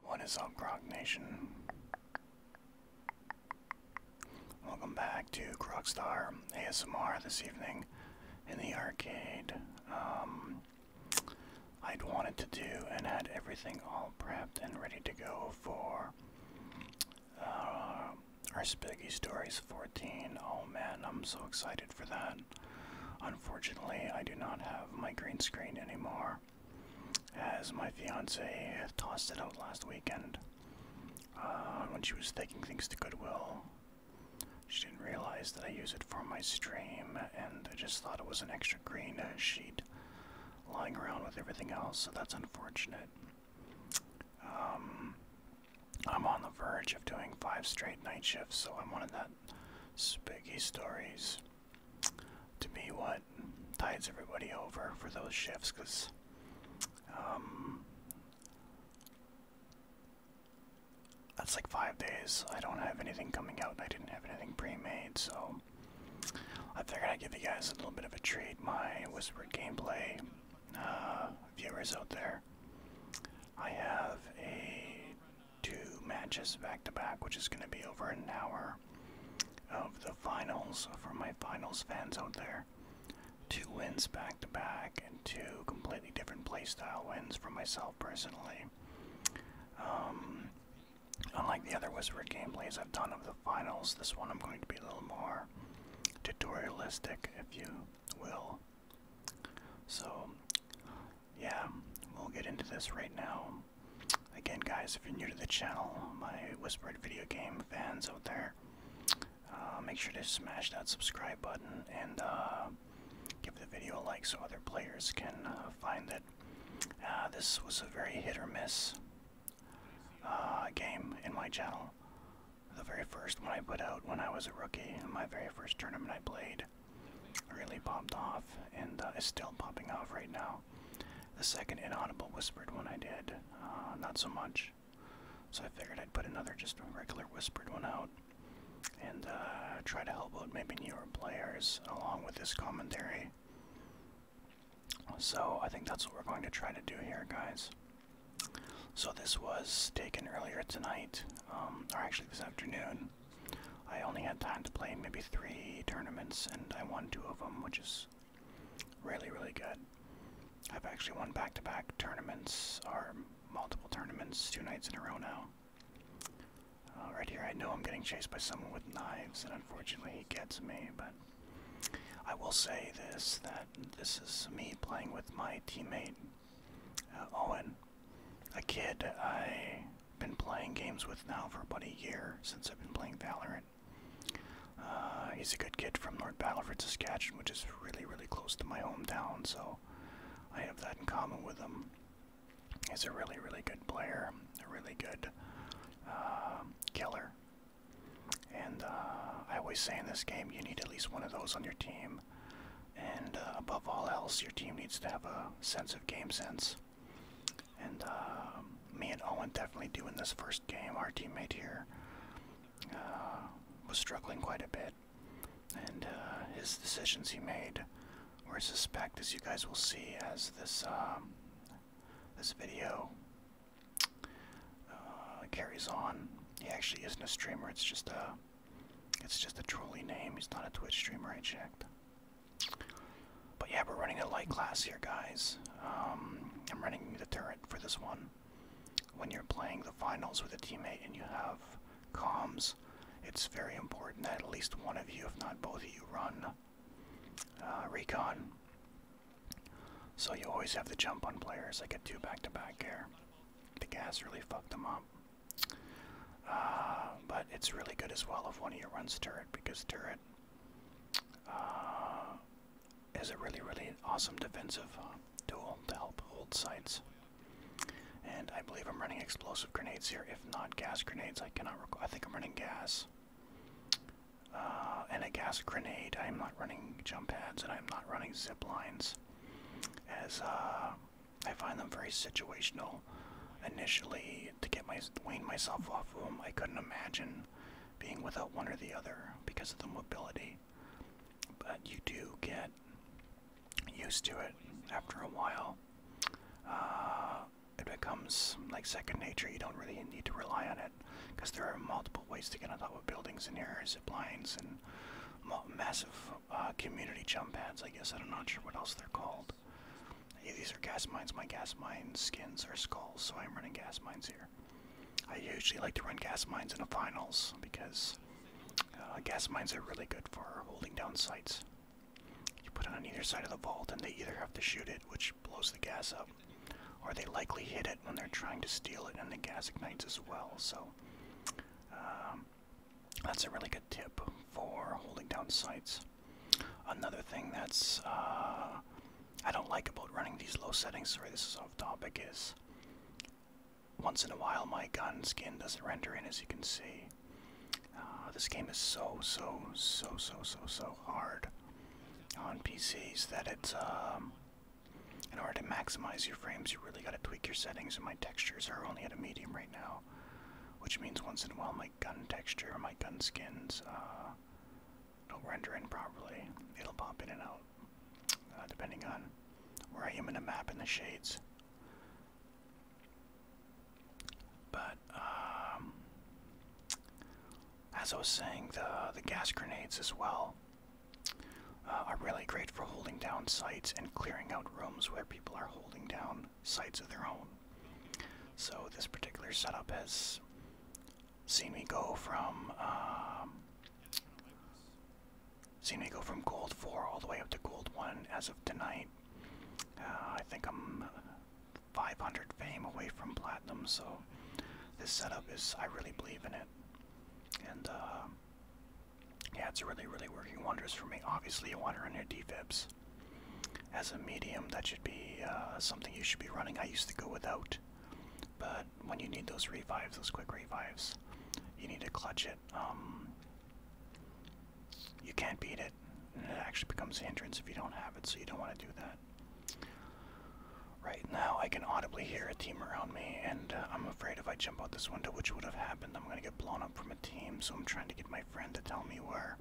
What is up, Grog Nation? Welcome back to Grogstar ASMR this evening in the arcade. Um, I'd wanted to do and had everything all prepped and ready to go for uh, our Spiggy Stories 14. Oh man, I'm so excited for that. Unfortunately, I do not have my green screen anymore, as my fiance tossed it out last weekend uh, when she was taking things to Goodwill she didn't realize that I use it for my stream, and I just thought it was an extra green sheet lying around with everything else, so that's unfortunate. Um, I'm on the verge of doing five straight night shifts, so I'm one that spooky stories to be what tides everybody over for those shifts, because um, that's like five days. I don't have anything coming out, I didn't have anything pre-made, so I figured gonna give you guys a little bit of a treat. My Whisper gameplay uh, viewers out there. I have a two matches back to back, which is going to be over an hour of the finals for my finals fans out there. Two wins back to back, and two completely different playstyle wins for myself personally. Um, unlike the other Whispered gameplays I've done of the finals, this one I'm going to be a little more tutorialistic, if you will. So, yeah, we'll get into this right now. Again, guys, if you're new to the channel, my Whispered video game fans out there, uh, make sure to smash that subscribe button and uh, give the video a like so other players can uh, find that uh, this was a very hit or miss uh, game in my channel. The very first one I put out when I was a rookie, my very first tournament I played, really popped off and is still popping off right now. The second Inaudible Whispered one I did, not so much. So I figured I'd put another just regular Whispered one out and uh, try to help out maybe newer players along with this commentary. So I think that's what we're going to try to do here, guys. So this was taken earlier tonight, um, or actually this afternoon. I only had time to play maybe three tournaments, and I won two of them, which is really, really good. I've actually won back to -back tournaments, or multiple tournaments, two nights in a row now. Uh, right here, I know I'm getting chased by someone with knives, and unfortunately, he gets me. But I will say this: that this is me playing with my teammate uh, Owen, a kid I've been playing games with now for about a year since I've been playing Valorant. Uh, he's a good kid from North Battleford, Saskatchewan, which is really, really close to my hometown, so I have that in common with him. He's a really, really good player, a really good uh, killer. And uh, I always say in this game, you need at least one of those on your team. And uh, above all else, your team needs to have a sense of game sense. And um, me and Owen definitely do in this first game. Our teammate here was struggling quite a bit and uh, his decisions he made were suspect, as you guys will see as this um, this video uh, carries on. He actually isn't a streamer; it's just a it's just a trolley name. He's not a Twitch streamer. I checked. But yeah, we're running a light class here, guys. Um, I'm running the turret for this one. When you're playing the finals with a teammate and you have comms, it's very important that at least one of you, if not both of you, run uh, recon. So you always have the jump on players. I get two back-to-back here. -back the gas really fucked them up. Uh, but it's really good as well if one of you runs turret because turret uh, is a really, really awesome defensive tool to help hold sites. And I believe I'm running explosive grenades here. If not gas grenades, I cannot recall. I think I'm running gas. Uh, and a gas grenade. I am not running jump pads and I'm not running zip lines. As uh, I find them very situational. Initially, to get my wean myself off them, I couldn't imagine being without one or the other because of the mobility. But you do get used to it after a while. Uh, it becomes like second nature. You don't really need to rely on it because there are multiple ways to get on top of buildings and air zip lines and massive uh, community jump pads. I guess I'm not sure what else they're called. these are gas mines. My gas mine skins are skulls, so I'm running gas mines here. I usually like to run gas mines in the finals because uh, gas mines are really good for holding down sites. You put it on either side of the vault, and they either have to shoot it, which blows the gas up, or they likely hit it when they're trying to steal it, and the gas ignites as well. So um, that's a really good tip for holding down sights. Another thing that's uh, I don't like about running these low settings, sorry this is off topic, is once in a while my gun skin doesn't render in as you can see. Ah, this game is so, so, so, so, so, so hard on PCs that it's, um, in order to maximize your frames, you really gotta tweak your settings, and my textures are only at a medium right now, which means once in a while my gun texture or my gun skins uh, don't render in properly. It'll pop in and out, uh, depending on where I am in the map and the shades. But um, as I was saying, the the gas grenades as well uh, are really great for holding down sites and clearing out rooms where people are holding down sites of their own. So this particular setup has seen me go from um, seen me go from gold four all the way up to gold one as of tonight. Uh, I think I'm uh, 500 fame away from platinum, so this setup is, I really believe in it. And uh, yeah, it's really, really working wonders for me. Obviously, you want to run your defibs. As a medium, that should be something you should be running. I used to go without, but when you need those revives, those quick revives, you need to clutch it. Um, you can't beat it. And it actually becomes a hindrance if you don't have it, so you don't want to do that. Right now, I can audibly hear a team around me, and uh, I'm afraid if I jump out this window, which would have happened, I'm going to get blown up from a team. So I'm trying to get my friend to tell me where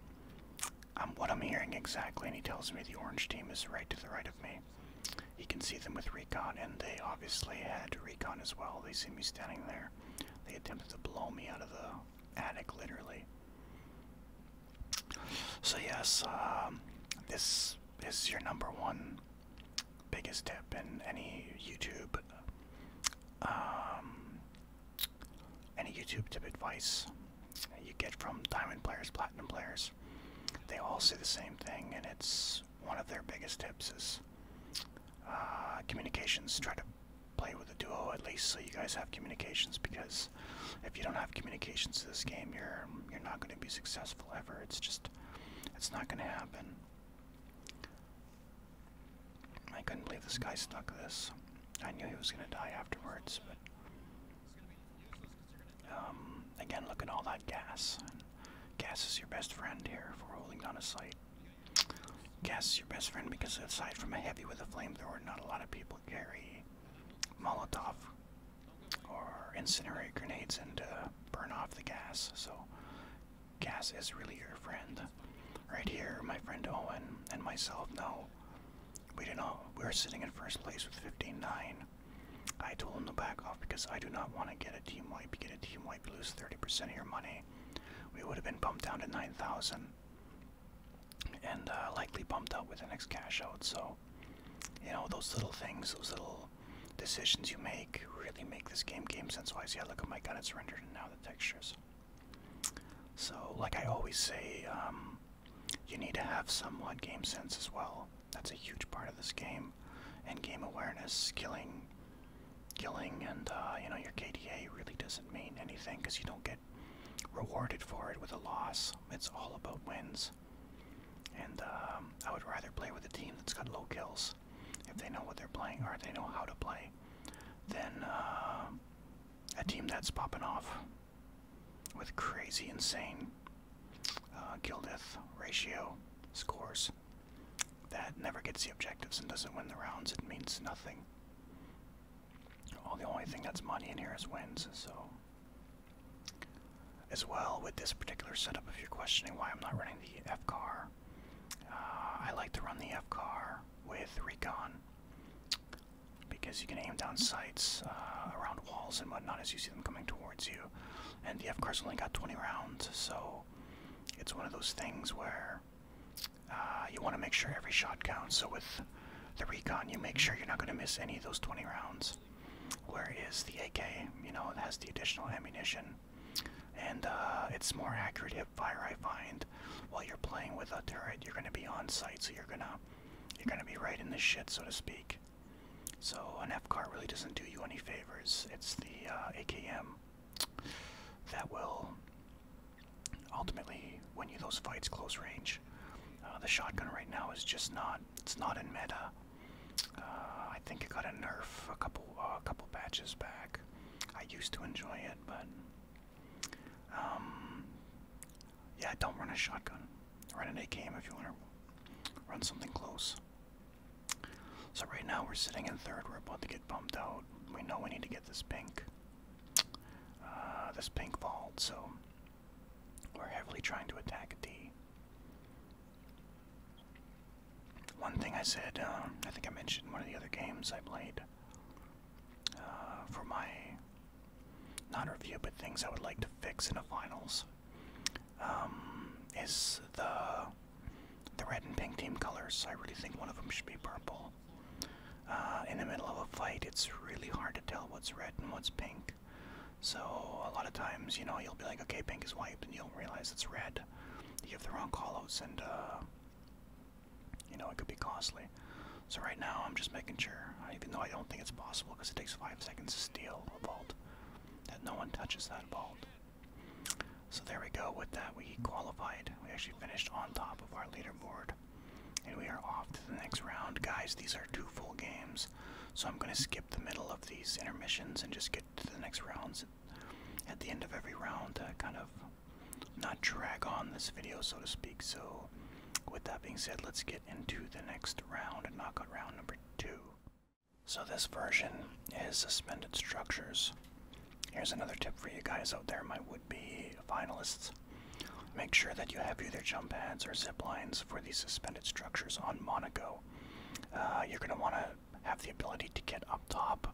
I'm, um, what I'm hearing exactly, and he tells me the orange team is right to the right of me. He can see them with recon, and they obviously had recon as well. They see me standing there. They attempted to blow me out of the attic literally. So yes, um, this is your number one biggest tip in any YouTube, um, any YouTube tip advice you get from diamond players, platinum players. They all say the same thing, and it's one of their biggest tips is uh, communications. Try to play with a duo at least so you guys have communications because if you don't have communications to this game you're you're not going to be successful ever it's just it's not going to happen I couldn't believe this guy stuck this I knew he was going to die afterwards but um, again look at all that gas gas is your best friend here for holding down a site Gas your best friend because aside from a heavy with a flamethrower, not a lot of people carry Molotov or incinerate grenades and uh, burn off the gas. So gas is really your friend. Right here, my friend Owen and myself know we did not. We were sitting in first place with 15-9. I told him to back off because I do not want to get a team wipe. Get a team wipe, lose 30% of your money. We would have been bumped down to 9,000 and uh, likely bumped up with the next cash out. So, you know, those little things, those little decisions you make really make this game game sense wise. Yeah, look at my gun, it's rendered, and now the textures. So, like I always say, um, you need to have some somewhat game sense as well. That's a huge part of this game, and game awareness, killing killing and uh, you know your KDA really doesn't mean anything because you don't get rewarded for it with a loss. It's all about wins. And um, I would rather play with a team that's got low kills if they know what they're playing or they know how to play than uh, a team that's popping off with crazy, insane uh, kill death ratio scores that never gets the objectives and doesn't win the rounds. It means nothing. Well, the only thing that's money in here is wins, so. As well, with this particular setup, if you're questioning why I'm not running the F car, uh, I like to run the F car with recon because you can aim down sights uh, around walls and whatnot as you see them coming towards you. And the F car's only got 20 rounds, so it's one of those things where uh, you want to make sure every shot counts. So with the recon, you make sure you're not going to miss any of those 20 rounds. Whereas the AK, you know, it has the additional ammunition, and uh, it's more accurate hip fire. I find while you're playing with a turret, you're going to be on site, so you're gonna you're gonna be right in the shit, so to speak. So an F car really doesn't do you any favors. It's the uh, AKM that will ultimately win you those fights close range. Uh, the shotgun right now is just not, it's not in meta. Uh, I think it got a nerf a couple, uh, a couple patches back. I used to enjoy it, but um, yeah, don't run a shotgun. Run an A-game if you want to run something close. So right now we're sitting in third. We're about to get bumped out. We know we need to get this pink. Uh, this pink vault, so we're heavily trying to attack a D. One thing I said, um, I think I mentioned one of the other games I played uh, for my not review, but things I would like to fix in the finals um, is the the red and pink team colors. I really think one of them should be purple uh, in the middle of a fight, it's really hard to tell what's red and what's pink. So a lot of times, you know, you'll be like, okay, pink is white, and you'll realize it's red. You have the wrong callouts, and uh, you know it could be costly. So right now, I'm just making sure, even though I don't think it's possible, because it takes five seconds to steal a vault, that no one touches that vault. So there we go. With that, we qualified. We actually finished on top of our leaderboard. And we are off to the next round. Guys, these are two full games. So I'm going to skip the middle of these intermissions and just get to the next rounds at the end of every round to kind of not drag on this video, so to speak. So, with that being said, let's get into the next round and knock out round number two. So, this version is suspended structures. Here's another tip for you guys out there, my would-be finalists. Make sure that you have either jump pads or zip lines for these suspended structures on Monaco. Uh, you're going to want to have the ability to get up top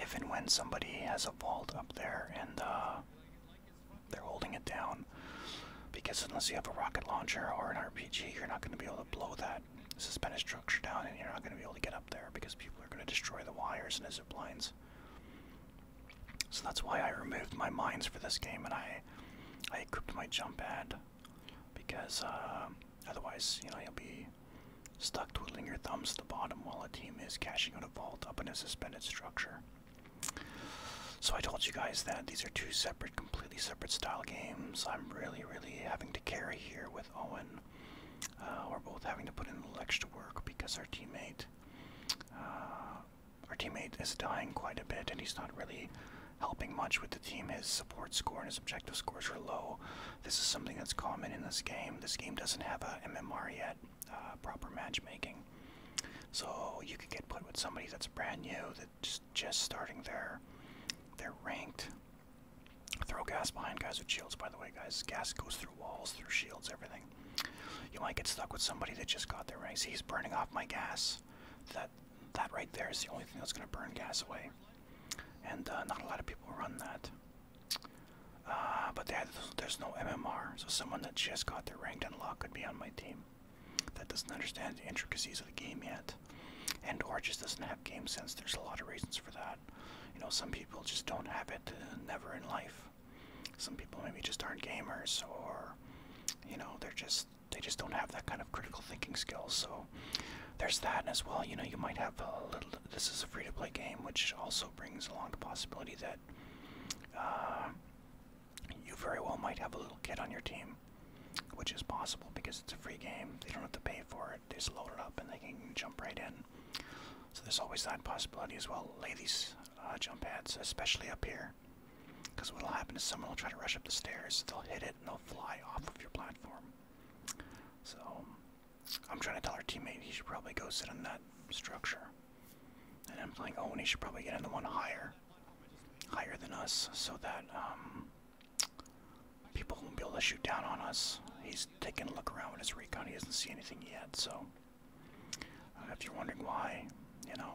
if and when somebody has a vault up there and uh, they're holding it down. Because unless you have a rocket launcher or an RPG, you're not going to be able to blow that suspended structure down and you're not going to be able to get up there because people are going to destroy the wires and the zip lines. So that's why I removed my mines for this game, and I I equipped my jump pad because uh, otherwise, you know, you'll be stuck twiddling your thumbs to the bottom while a team is cashing out a vault up in a suspended structure. So I told you guys that these are two separate, completely separate style games. I'm really, really having to carry here with Owen. Uh, we're both having to put in extra work because our teammate uh, our teammate is dying quite a bit, and he's not really helping much with the team. His support score and his objective scores are low. This is something that's common in this game. This game doesn't have a MMR yet, uh, proper matchmaking. So you could get put with somebody that's brand new, that's just starting their, their ranked. Throw gas behind guys with shields, by the way, guys. Gas goes through walls, through shields, everything. You might get stuck with somebody that just got there, right? See, he's burning off my gas. That that right there is the only thing that's going to burn gas away. And uh, not a lot of people run that. Uh, but there's no MMR, so someone that just got their ranked unlock could be on my team. That doesn't understand the intricacies of the game yet. And or just doesn't have game sense. There's a lot of reasons for that. You know, some people just don't have it uh, never in life. Some people maybe just aren't gamers, or you know, they're just they just don't have that kind of critical thinking skills. So there's that as well. You know, you might have a little. This is a free-to-play game, which also brings along the possibility that uh, you very well might have a little kid on your team, which is possible because it's a free game. They don't have to pay for it. They just load it up and they can jump right in. So there's always that possibility as well. Ladies, uh, jump pads, especially up here. Because what will happen is someone will try to rush up the stairs, they'll hit it, and they'll fly off of your platform. So, I'm trying to tell our teammate he should probably go sit on that structure. And I'm oh, and he should probably get in the one higher. Higher than us, so that um, people won't be able to shoot down on us. He's taking a look around with his recon, he doesn't see anything yet, so. Uh, if you're wondering why, you know,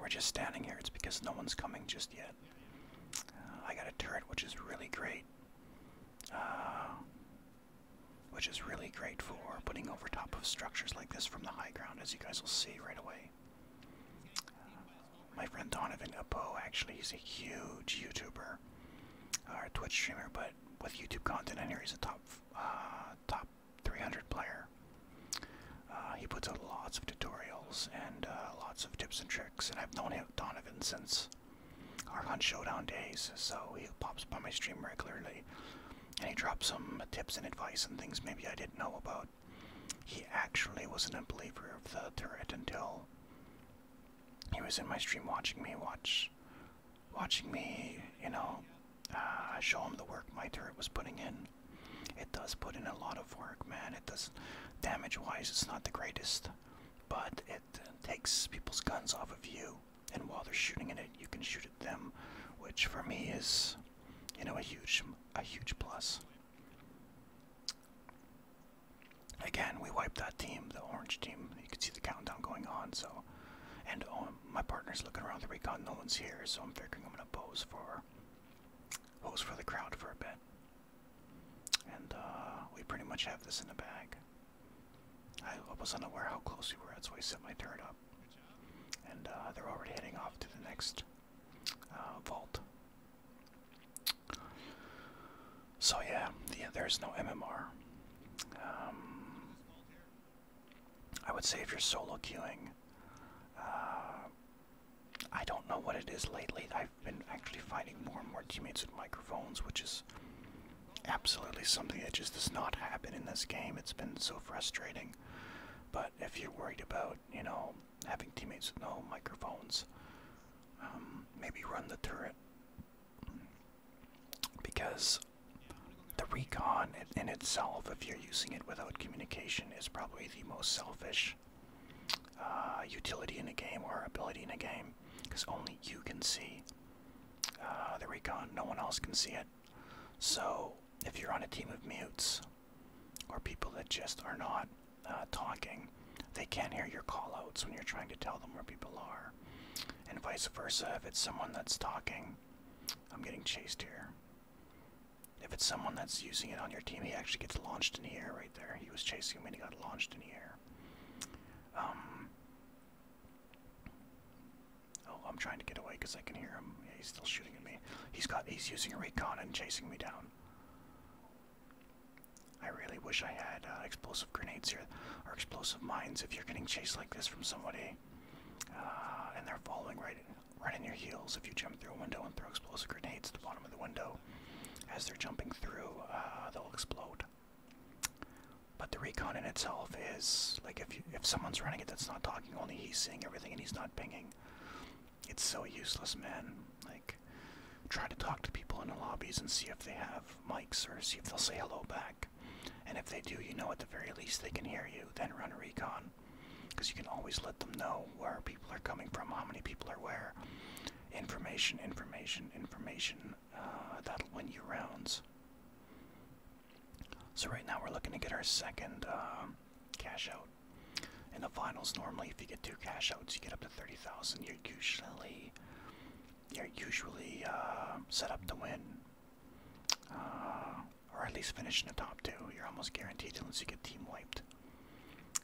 we're just standing here. It's because no one's coming just yet. Uh, I got a turret, which is really great. Uh, which is really great for putting over top of structures like this from the high ground, as you guys will see right away. my friend Donovan Apo, actually, he's a huge YouTuber, or Twitch streamer, but with YouTube content, and here he's a top top 300 player. Uh, he puts out lots of tutorials and uh, lots of tips and tricks, and I've known him, Donovan since our Hunt Showdown days, so he pops by my stream regularly, and he drops some tips and advice and things maybe I didn't know about. He actually wasn't a believer of the turret until he was in my stream watching me watch watching me, you know, uh, show him the work my turret was putting in. It does put in a lot of work, man. It does, damage-wise, it's not the greatest, but it takes people's guns off of you, and while they're shooting at it, you can shoot at them, which for me is, you know, a huge, a huge plus. Again, we wiped that team, the orange team. You can see the countdown going on, so and oh, my partner's looking around the recon. No one's here, so I'm figuring I'm gonna pose for pose for the crowd for a bit. And uh, we pretty much have this in the bag. I was unaware how close we were so I set my turret up. And uh, they're already heading off to the next uh, vault. So yeah, there's no MMR. Um, I would say if you're solo queuing, uh, I don't know what it is lately. I've been actually finding more and more teammates with microphones, which is absolutely something that just does not happen in this game. It's been so frustrating. But if you're worried about, you know, having teammates with no microphones, um, maybe run the turret because the recon in itself, if you're using it without communication, is probably the most selfish uh, utility in a game or ability in a game because only you can see uh, the recon, no one else can see it. So, if you're on a team of mutes or people that just are not uh, talking, they can't hear your call outs when you're trying to tell them where people are. And vice versa, if it's someone that's talking, I'm getting chased here. If it's someone that's using it on your team, he actually gets launched in the air right there. He was chasing me and he got launched in the air. Um, oh, I'm trying to get away because I can hear him. he's still shooting at me. He's got he's using a recon and chasing me down. I really wish I had uh, explosive grenades here, or explosive mines if you're getting chased like this from somebody, uh, and they're following right, right in your heels. If you jump through a window and throw explosive grenades at the bottom of the window, as they're jumping through, uh, they'll explode. But the recon in itself is like if if someone's running it that's not talking, only he's seeing everything and he's not pinging. It's so useless, man. Like, try to talk to people in the lobbies and see if they have mics or see if they'll say hello back. And if they do, you know at the very least they can hear you. Then run a recon. Because you can always let them know where people are coming from, how many people are where. Information, information, information. Uh, that'll win you rounds. So right now we're looking to get our second uh, cash out. In the finals, normally if you get two cash outs, you get up to 30,000. You're usually, you're usually uh, set up to win. Uh, or at least finish in the top two. You're almost guaranteed unless you get team wiped.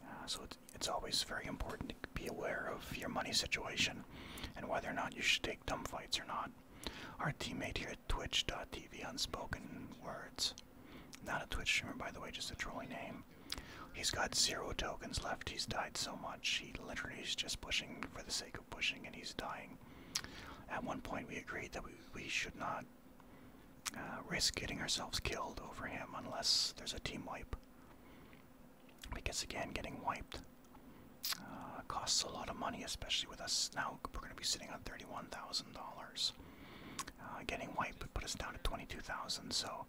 Uh, so it's, it's always very important to be aware of your money situation and whether or not you should take dumb fights or not. Our teammate here at twitch.tv Unspoken Words, not a Twitch streamer by the way, just a trolling name. He's got zero tokens left. He's died so much. He literally is just pushing for the sake of. Jacob pushing and he's dying. At one point, we agreed that we, we should not uh, risk getting ourselves killed over him unless there's a team wipe. Because again, getting wiped uh, costs a lot of money, especially with us now. We're going to be sitting on thirty-one thousand dollars. Uh, getting wiped would put us down to twenty-two thousand. So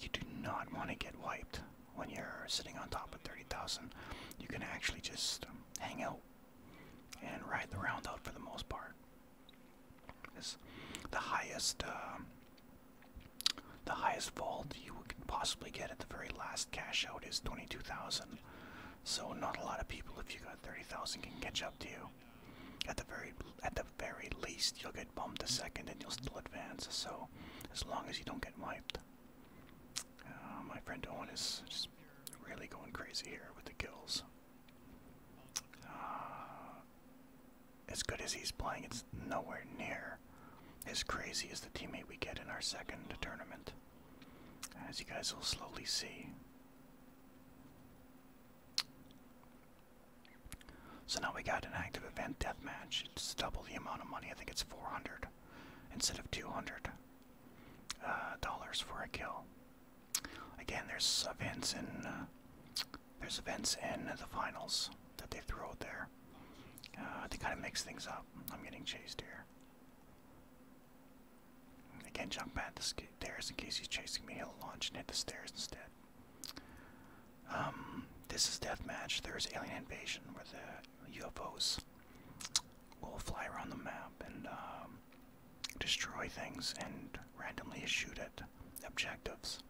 you do not want to get wiped when you're sitting on top of 30,000, you can actually just um, hang out and ride the round out for the most part. the highest, um, the highest vault you can possibly get at the very last cash out is 22,000. So not a lot of people, if you got 30,000, can catch up to you. At the very, at the very least, you'll get bumped a second, and you'll still advance. So, as long as you don't get wiped. Uh, my friend Owen is just really going crazy here with the kills. Uh, as good as he's playing, it's nowhere near as crazy as the teammate we get in our second tournament. As you guys will slowly see. So now we got an active event deathmatch. It's double the amount of money. I think it's 400 instead of 200. Uh, dollars for a kill. Again, there's events in uh, there's events in the finals that they throw out there. Uh, they kind of mix things up. I'm getting chased here. Again, jump at the stairs in case he's chasing me. He'll launch and hit the stairs instead. Um, this is death match. There's alien invasion with the UFOs we will fly around the map and um, destroy things and randomly shoot at objectives.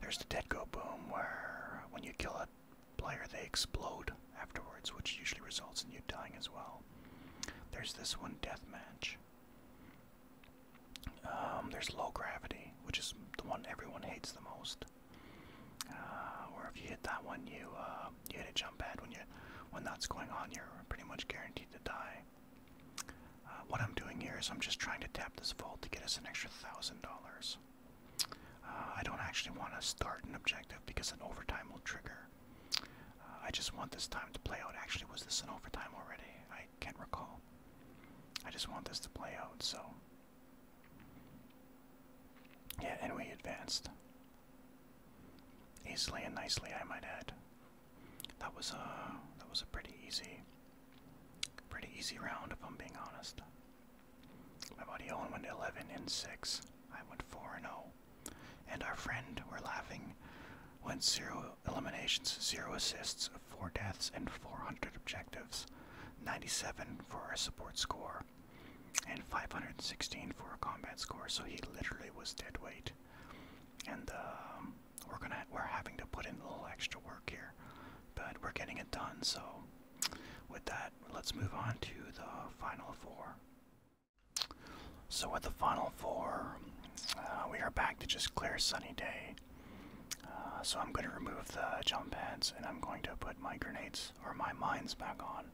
There's the dead go boom where when you kill a player they explode afterwards, which usually results in you dying as well. There's this one death match. Um, there's low gravity, which is the one everyone hates the most. Uh, or if you hit that one, you uh, you hit a jump pad. When you when that's going on, you're pretty much guaranteed to die. Uh, what I'm doing here is I'm just trying to tap this vault to get us an extra thousand dollars. I don't actually want to start an objective because an overtime will trigger. I just want this time to play out. Actually, was this an overtime already? I can't recall. I just want this to play out, so yeah, and we advanced. Easily and nicely, I might add. That was a uh, that was a pretty easy, pretty easy round. If I'm being honest, my buddy Owen went 11 and 6. I went 4 and 0, and our friend we're laughing went zero eliminations, zero assists, four deaths, and 400 objectives. 97 for our support score, and 516 for a combat score, so he literally was dead weight. And um, we're gonna we're having to put in a little extra work here, but we're getting it done. So with that, let's move on to the final four. So with the final four, uh, we are back to just clear sunny day. Uh, so I'm going to remove the jump pads and I'm going to put my grenades or my mines back on.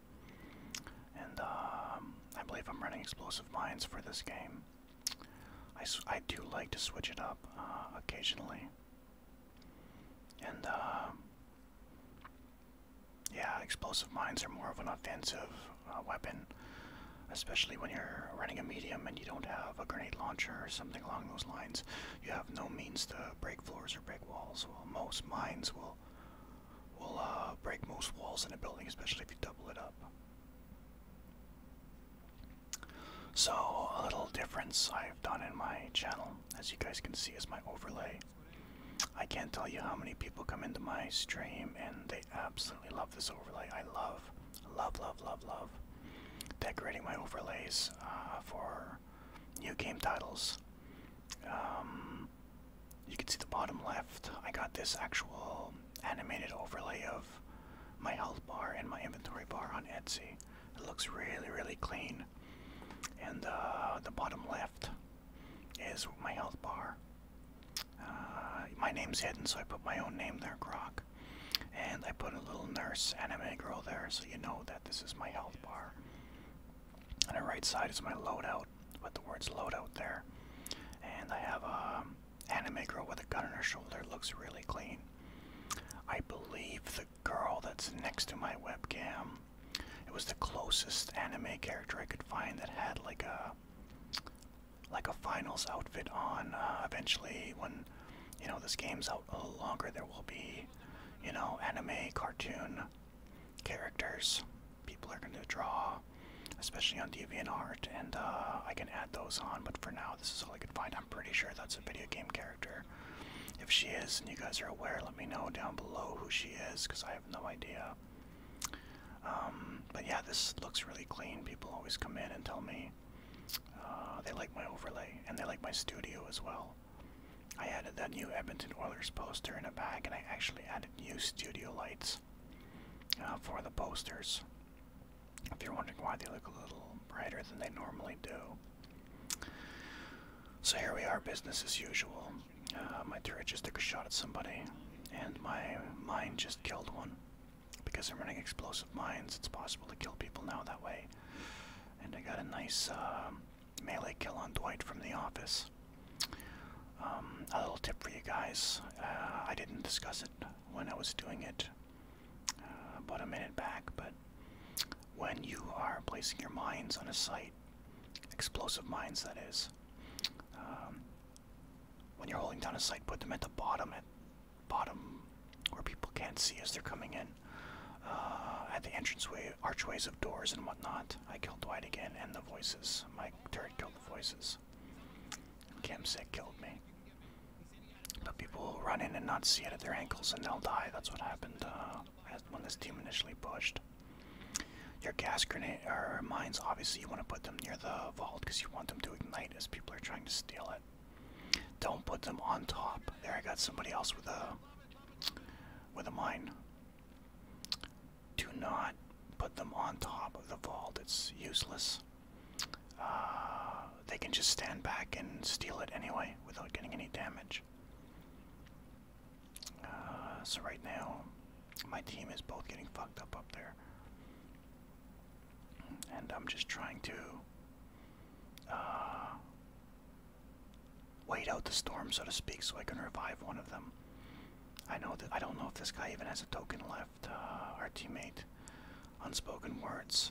And um, I believe I'm running explosive mines for this game. I, I do like to switch it up uh, occasionally. And um, yeah, explosive mines are more of an offensive uh, weapon, especially when you're running a medium and you don't have a grenade launcher or something along those lines. You have no means to break floors or break walls. While most mines will will uh, break most walls in a building, especially if you double it up. So a little difference I've done in my channel, as you guys can see, is my overlay. I can't tell you how many people come into my stream and they absolutely love this overlay. I love, love, love, love, love decorating my overlays uh, for new game titles. Um, you can see the bottom left. I got this actual animated overlay of my health bar and my inventory bar on Etsy. It looks really, really clean. And uh, the bottom left is my health bar. Uh, my name's hidden, so I put my own name there, Croc. And I put a little nurse anime girl there, so you know that this is my health bar. On the right side is my loadout with the words loadout there. And I have a anime girl with a gun on her shoulder. Looks really clean. I believe the girl that's next to my webcam. It was the closest anime character I could find that had like a like a finals outfit on. Uh, eventually, when you know this game's out a little longer, there will be you know anime cartoon characters people are going to draw, especially on Art, and uh, I can add those on, but for now, this is all I could find. I'm pretty sure that's a video game character. If she is, and you guys are aware, let me know down below who she is, because I have no idea. Um, but yeah, this looks really clean. People always come in and tell me uh, they like my overlay, and they like my studio as well. I added that new Edmonton Oilers poster in the back, and I actually added new studio lights uh, for the posters. If you're wondering why they look a little brighter than they normally do. So here we are, business as usual. Uh, my turret just took a shot at somebody, and my mine just killed one. Because I'm running explosive mines, it's possible to kill people now that way. And I got a nice uh, melee kill on Dwight from The Office. Um, a little tip for you guys. Uh, I didn't discuss it when I was doing it uh, about a minute back, but when you are placing your mines on a site, explosive mines that is, um, when you're holding down a site, put them at the bottom, at bottom where people can't see as they're coming in, uh, at the entranceway archways of doors and whatnot. I killed Dwight again and the voices. Mike turret killed the voices. Camsick killed me. But people will run in and not see it at their ankles and they'll die. That's what happened uh, when this team initially pushed. Your gas grenade or mines, obviously, you want to put them near the vault because you want them to ignite as people are trying to steal it. Don't put them on top. There, I got somebody else with a with a mine. Do not put them on top of the vault, it's useless. Uh, they can just stand back and steal it anyway without getting any damage. Uh, so, right now, my team is both getting fucked up up there. And I'm just trying to uh, wait out the storm, so to speak, so I can revive one of them. I know that I don't know if this guy even has a token left. Uh, our teammate, unspoken words.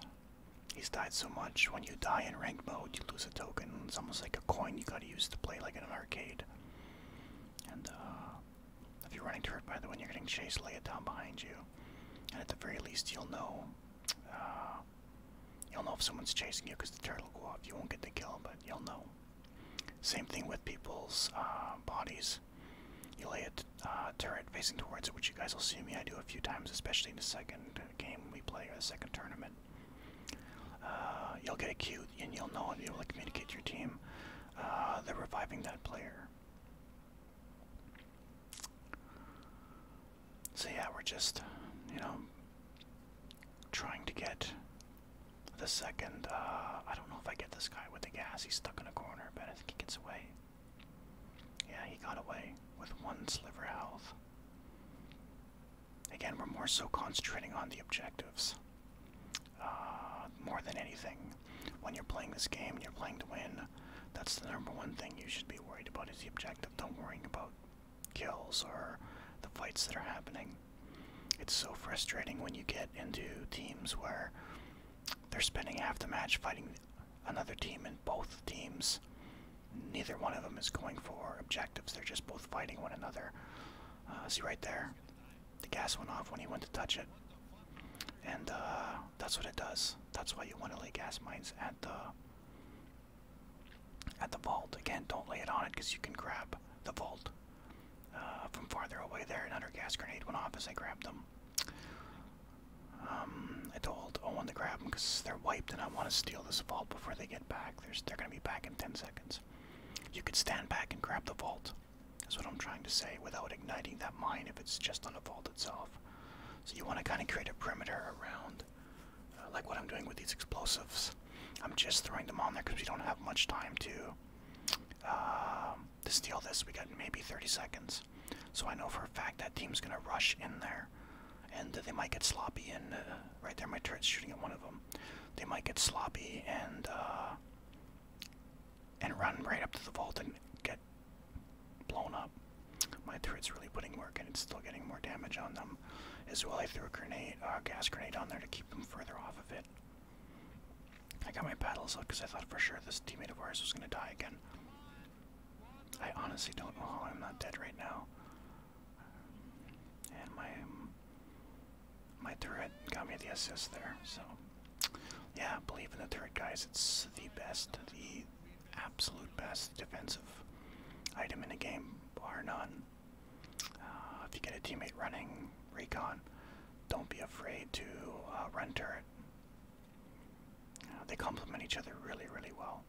He's died so much. When you die in ranked mode, you lose a token. It's almost like a coin you gotta use to play like in an arcade. And uh, if you're running toward by the way, you're getting chased, lay it down behind you. And at the very least, you'll know. Uh, you'll know if someone's chasing you because the turtle will go off. You won't get the kill, but you'll know. Same thing with people's uh, bodies. You lay a uh, turret facing towards it, which you guys will see me I do a few times, especially in the second game we play or the second tournament. Uh, you'll get a cue and you'll know and be able to communicate your team. Uh, they're reviving that player. So yeah, we're just, you know, trying to get the second. Uh, I don't know if I get this guy with the gas. He's stuck in a corner, but I think he gets away. Yeah, he got away with one sliver health. Again, we're more so concentrating on the objectives uh, more than anything. When you're playing this game you're playing to win, that's the number one thing you should be worried about is the objective. Don't worry about kills or the fights that are happening. It's so frustrating when you get into teams where they're spending half the match fighting another team, and both teams, neither one of them is going for objectives. They're just both fighting one another. Uh, see right there, the gas went off when he went to touch it, and uh, that's what it does. That's why you want to lay gas mines at the at the vault. Again, don't lay it on it because you can grab the vault uh, from farther away there. Another gas grenade went off as I grabbed them. Um, I told Owen to grab them because they're wiped and I want to steal this vault before they get back. they're going to be back in 10 seconds. You could stand back and grab the vault. That's what I'm trying to say without igniting that mine if it's just on the vault itself. So you want to kind of create a perimeter around like what I'm doing with these explosives. I'm just throwing them on there because we don't have much time to um, to steal this. We got maybe 30 seconds, so I know for a fact that team's gonna rush in there, and they might get sloppy. And uh, right there, my turret's shooting at one of them. They might get sloppy and uh, and run right up to the vault and get blown up. My turret's really putting work, and it's still getting more damage on them. As well, I threw a grenade, a uh, gas grenade on there to keep. I got my paddles up because I thought for sure this teammate of ours was going to die again. I honestly don't know how I'm not dead right now. And my my turret got me the assist there. So yeah, believe in the turret, guys. It's the best, the absolute best defensive item in the game, bar none. Uh, if you get a teammate running recon, don't be afraid to uh, run turret. Uh, they complement each other really, really well.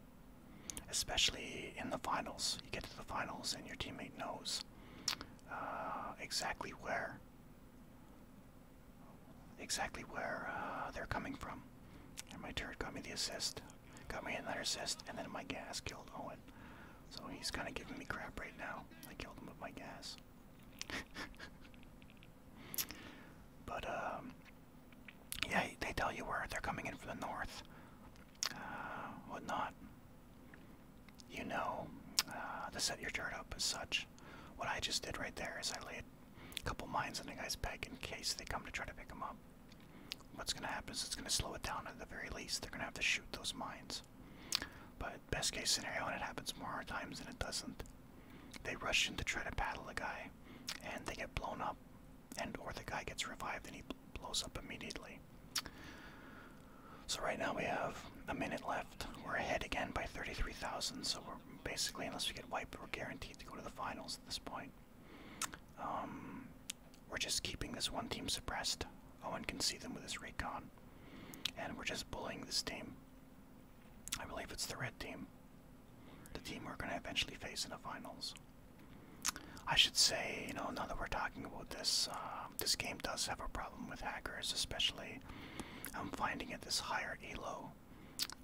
Especially in the finals. You get to the finals and your teammate knows uh, exactly where exactly where they're coming from. And my turret got me the assist, got me another assist, and then my gas killed Owen. So he's kind of giving me crap right now. I killed him with my gas. but, um, yeah, they tell you where they're coming in from the north, uh, whatnot. You know, uh, to set your chart up as such. What I just did right there is I laid a couple mines on the guy's peg in case they come to try to pick him up what's going to happen is it's going to slow it down at the very least. They're going to have to shoot those mines. But best case scenario, and it happens more hard times than it doesn't, they rush in to try to battle the guy, and they get blown up, and or the guy gets revived and he blows up immediately. So right now we have a minute left. We're ahead again by 33,000, so we're basically, unless we get wiped, we're guaranteed to go to the finals at this point. Um, we're just keeping this one team suppressed. Owen can see them with his recon. And we're just bullying this team. I believe it's the red team. The team we're going to eventually face in the finals. I should say, you know, now that we're talking about this, um, this game does have a problem with hackers, especially I'm um, finding it this higher elo.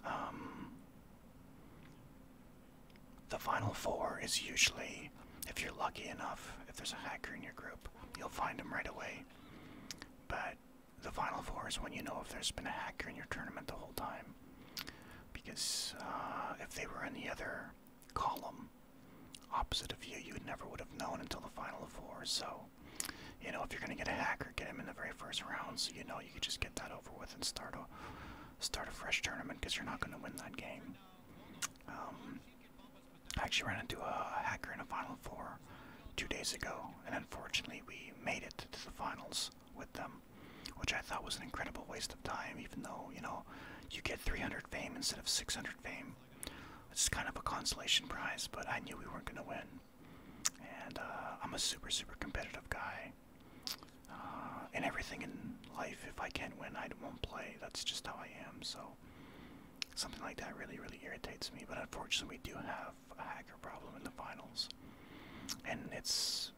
Um, the final four is usually, if you're lucky enough, if there's a hacker in your group, you'll find him right away. But the final four is when you know if there's been a hacker in your tournament the whole time. Because uh, if they were in the other column opposite of you, you never would have known until the final four. So, you know, if you're going to get a hacker, get him in the very first round so you know you can just get that over with and start a, start a fresh tournament because you're not going to win that game. Um, I actually ran into a hacker in a Final Four two days ago, and unfortunately we made it to the finals with them, which I thought was an incredible waste of time, even though, you know, you get 300 fame instead of 600 fame. It's kind of a consolation prize, but I knew we weren't going to win. And uh, I'm a super, super competitive guy. Uh, in everything in life. If I can't win, I won't play. That's just how I am. So something like that really, really irritates me. But unfortunately, we do have a hacker problem in the finals, and it's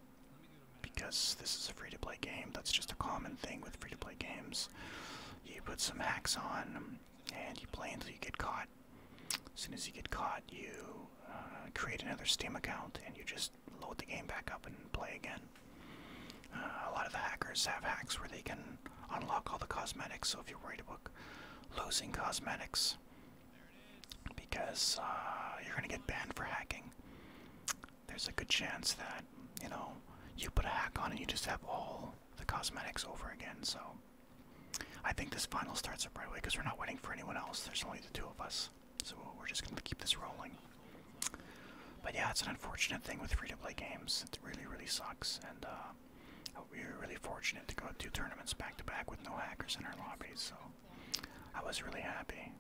because this is a free-to-play game. That's just a common thing with free-to-play games. You put some hacks on, and you play until you get caught. As soon as you get caught, you uh, create another Steam account and you just load the game back up and play again. Uh, a lot of the hackers have hacks where they can unlock all the cosmetics, so if you're worried about losing cosmetics because uh, you're going to get banned for hacking, there's a good chance that, you know, you put a hack on and you just have all the cosmetics over again, so. I think this final starts up right away because we're not waiting for anyone else. There's only the two of us. So we're just going to keep this rolling. But yeah, it's an unfortunate thing with free-to-play games. It really, really sucks, and uh, we were really fortunate to go to two tournaments back-to-back with no hackers in our lobbies, so I was really happy.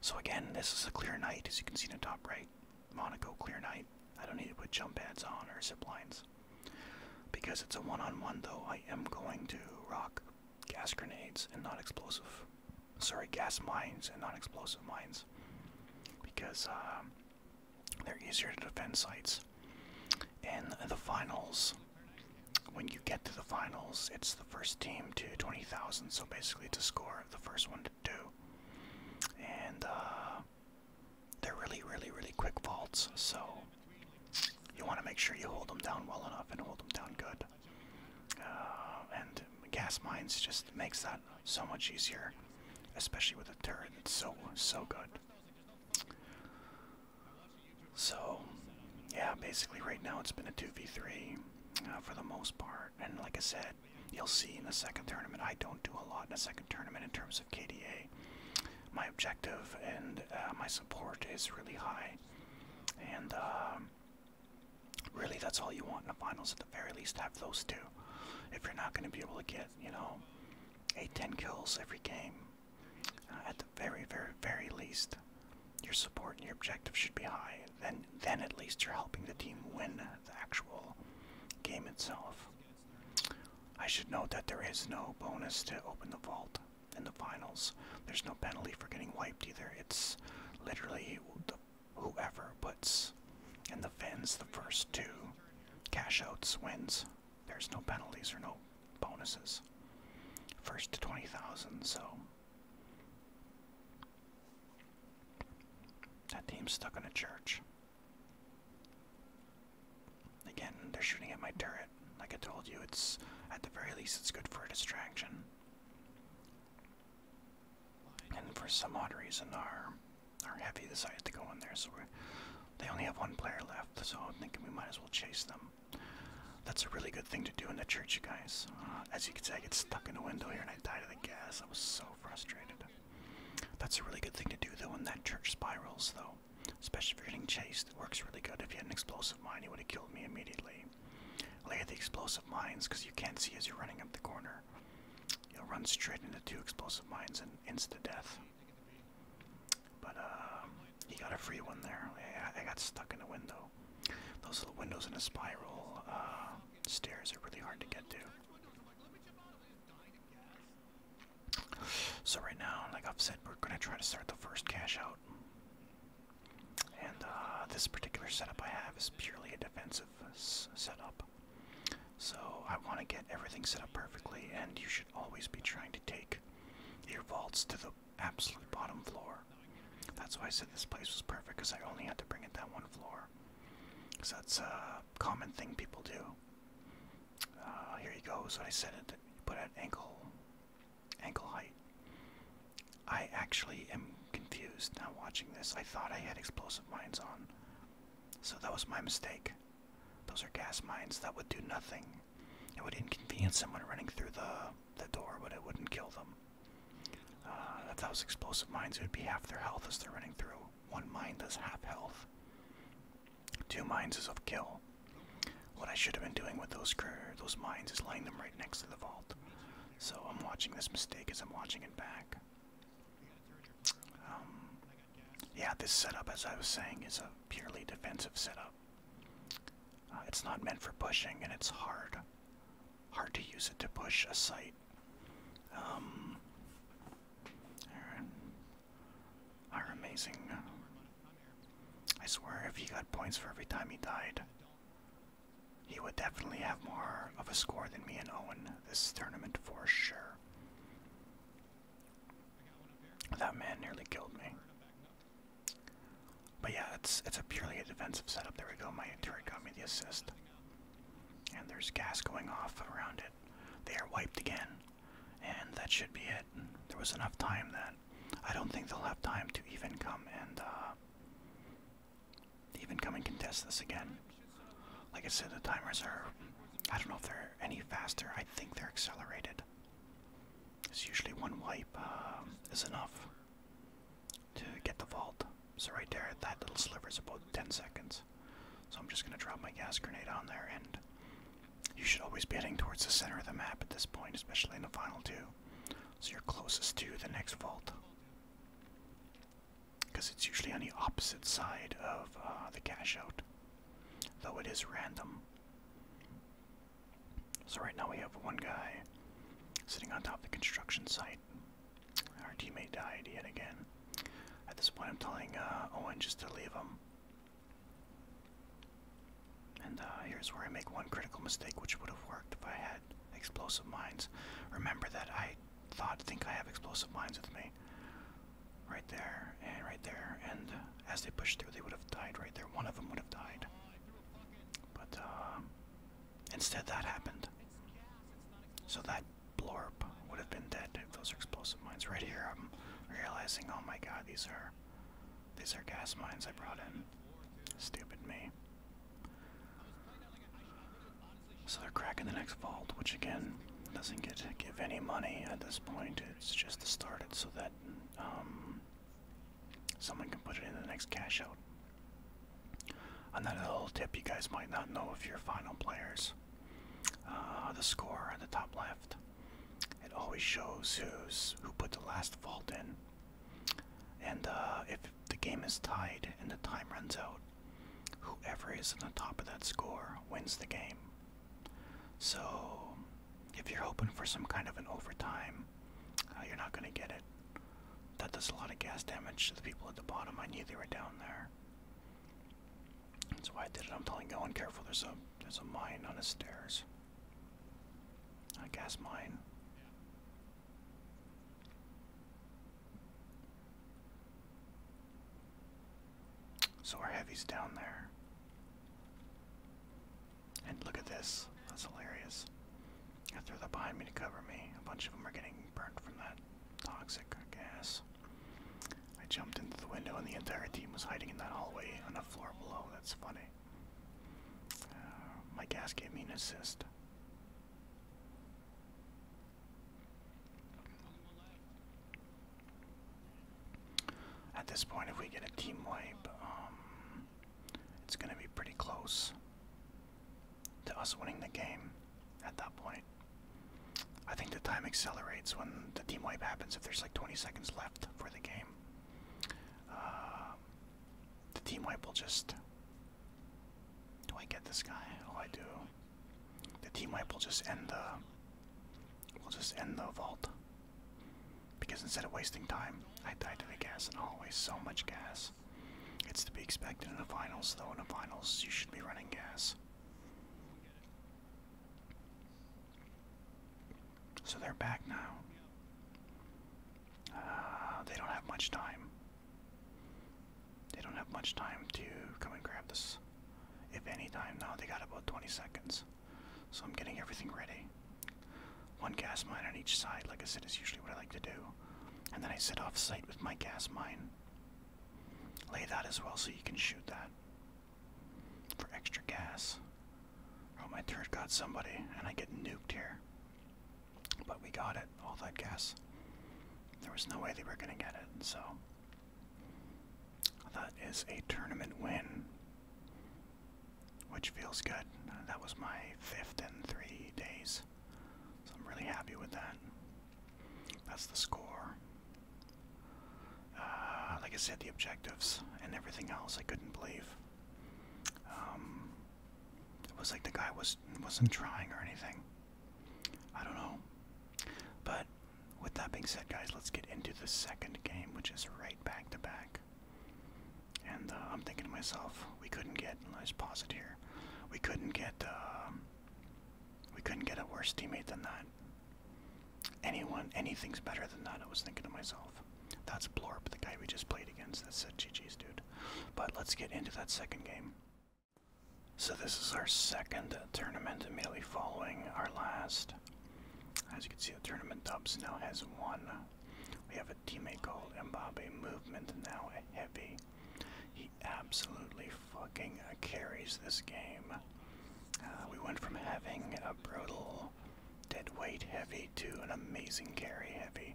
So again, this is a clear night, as you can see in the top right. Monaco clear night. I don't need to put jump pads on or zip lines. Because it's a one -on -one, though, I am going to rock gas grenades and not explosive sorry, gas mines and non-explosive mines because um, they're easier to defend sites. In the finals, when you get to the finals, it's the first team to 20,000, so basically to score the first one to do. And uh, they're really, really, really quick vaults, so you want to make sure you hold them down well enough and hold them down good. Uh, and gas mines just makes that so much easier, especially with a turret. It's so so good. So, yeah, basically right now it's been a two v three uh, for the most part, and like I said, you'll see in the second tournament I don't do a lot in the second tournament in terms of KDA. My objective and uh, my support is really high, and. Um, Really, that's all you want in the finals. At the very least, have those two. If you're not going to be able to get, you know, eight, ten kills every game, uh, at the very, very, very least, your support and your objective should be high. Then, then at least you're helping the team win the actual game itself. I should note that there is no bonus to open the vault in the finals. There's no penalty for getting wiped either. It's literally the whoever puts in the fins the first two cash outs wins. There's no penalties or no bonuses. First to 20,000, so. That team's stuck in a church. Again, they're shooting at my turret. Like I told you, it's at the very least it's good for a distraction. And for some odd reason, our our heavy decided to go in there, so they only have one player left. So I'm thinking we might as well chase them. That's a really good thing to do in the church, guys. Uh, as you can see, I get stuck in a window here and I died of the gas. I was so frustrated. That's a really good thing to do though in that church spirals, though. Especially if you're getting chased, it works really good. If you had an explosive mine, you would have killed me immediately. Lay the explosive mines because you can't see as you're running up the corner. You'll run straight into two explosive mines and insta death. But uh, he got a free one there. I, got stuck in a window. Those little windows in a spiral uh, stairs are really hard to get to. So right now, like I've said, we're gonna try to start the first cash out. And uh, this particular setup I have is purely a defensive setup. So I want to get everything set up perfectly, and you should always be trying to take your vaults to the absolute bottom floor. That's why I said this place was perfect, because I only had to bring it down one floor. Because that's a common thing people do. Uh, here you go, so I said it, put at ankle, ankle height. I actually am confused now watching this. I thought I had explosive mines on. So that was my mistake. Those are gas mines that would do nothing. It would inconvenience someone running through the, the door, but it wouldn't kill them. Uh, if those explosive mines, it would be half their health as they're running through. One mine does half health. Two mines is of kill. What I should have been doing with those those mines is laying them right next to the vault. So I'm watching this mistake as I'm watching it back. Um, yeah, this setup, as I was saying, is a purely defensive setup. Uh, it's not meant for pushing, and it's hard, hard to use it to push a site. Um, our amazing. Uh, I swear, if he got points for every time he died, he would definitely have more of a score than me and Owen this tournament for sure. That man nearly killed me. But yeah, it's it's a purely a defensive setup. There we go. My turret got me the assist. And there's gas going off around it. They are wiped again. And that should be it. There was enough time that I don't think they'll have time to even come and uh, even come and contest this again. Like I said, the timers are, I don't know if they're any faster. I think they're accelerated. It's usually one wipe uh, is enough to get the vault. So right there, that little sliver is about 10 seconds. So I'm just going to drop my gas grenade on there, and you should always be heading towards the center of the map at this point, especially in the final two. So you're closest to the next vault because it's usually on the opposite side of uh, the cash out, though it is random. So, right now we have one guy sitting on top of the construction site. Our teammate died yet again. At this point, I'm telling uh, Owen just to leave him. And uh, here's where I make one critical mistake, which would have worked if I had explosive mines. Remember that I thought think I have explosive mines with me. Right there and right there, and as they pushed through, they would have died right there. One of them would have died. But uh, instead, that happened. So that blorp would have been dead if those are explosive mines. Right here, I'm realizing, oh my god, these are these are gas mines I brought in. Stupid me. So they're cracking the next vault, which again doesn't get to give any money at this point. It's just to start it so that um, someone can put it in the next cash out. Another little tip you guys might not know if you're final players. Uh, the score at the top left. It always shows who's who put the last vault in. And uh, if the game is tied and the time runs out, Whoever is on the top of that score wins the game. So, if you're hoping for some kind of an overtime, uh, you're not going to get it. That does a lot of gas damage to the people at the bottom. I knew they were down there. That's why I did it. I'm telling you, going careful. There's a there's a mine on the stairs. A gas mine. So our heavy's down there. And look at this. That's hilarious. I threw that behind me to cover me. A bunch of them are getting burnt from that toxic gas. I jumped into the window and the entire team was hiding in that hallway on the floor below. That's funny. Uh, my gas gave me an assist. At this point, if we get a team wipe, um, it's going to be pretty close to us winning the game at that point. I think the time accelerates when the team wipe happens if there's like 20 seconds left for the game. Uh, the team wipe will just do I get this guy? Oh, I do. The team wipe will just end the. will just end the vault. Because instead of wasting time, I died to the gas and always so much gas. It's to be expected in the finals, though. In the finals, you should be running gas. So they're back now. Uh, they don't have much time. They don't have much time to come and grab this. If any time now, they got about 20 seconds. So I'm getting everything ready. One gas mine on each side, like I said, is usually what I like to do. And then I sit off site with my gas mine. Lay that as well so you can shoot that for extra gas. Oh, my turret got somebody, and I get nuked here. But we got it all that gas. There was no way they were going to get it, so. That is a tournament win, which feels good. that was my fifth in three days, so I'm really happy with that. That's the score. Uh, like I said, the objectives and everything else I couldn't believe. Um, it was like the guy was wasn't trying or anything. I don't know. But with that being said, guys, let's get into the second game, which is right back to back. And uh, I'm thinking to myself, we couldn't get. Let's pause it here. We couldn't get. Um, we couldn't get a worse teammate than that. Anyone, anything's better than that. I was thinking to myself. That's Blorp, the guy we just played against. That a GG's, dude. But let's get into that second game. So, this is our second tournament immediately following our last. As you can see, the tournament dubs now has one. We have a teammate called Mbappe Movement, now a heavy. He absolutely fucking carries this game. Uh, we went from having a brutal dead weight heavy to an amazing carry heavy.